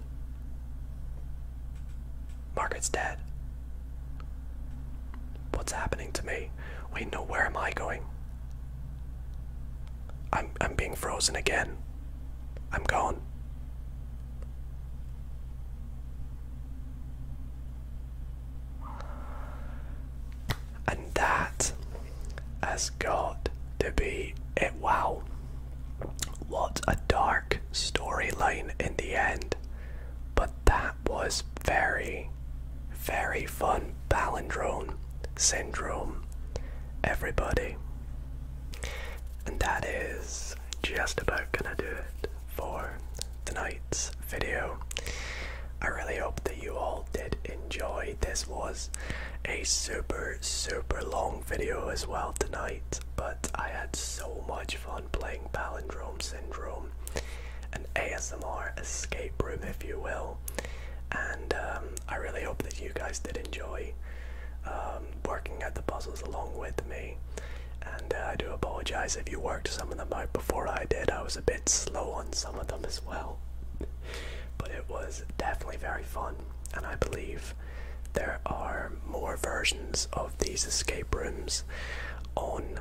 Margaret's dead. What's happening to me? Wait, no, where am I going? I'm I'm being frozen again. I'm gone. And that has got to be it. Wow. What a dark storyline in the end. But that was very, very fun palindrome syndrome, everybody. And that is just about gonna do it for tonight's video. I really hope that you all did enjoy. This was a super, super long video as well tonight, but I had so much fun playing Palindrome Syndrome an ASMR escape room, if you will. And um, I really hope that you guys did enjoy um, working at the puzzles along with me. And uh, I do apologize if you worked some of them out before I did. I was a bit slow on some of them as well. But it was definitely very fun, and I believe there are more versions of these escape rooms on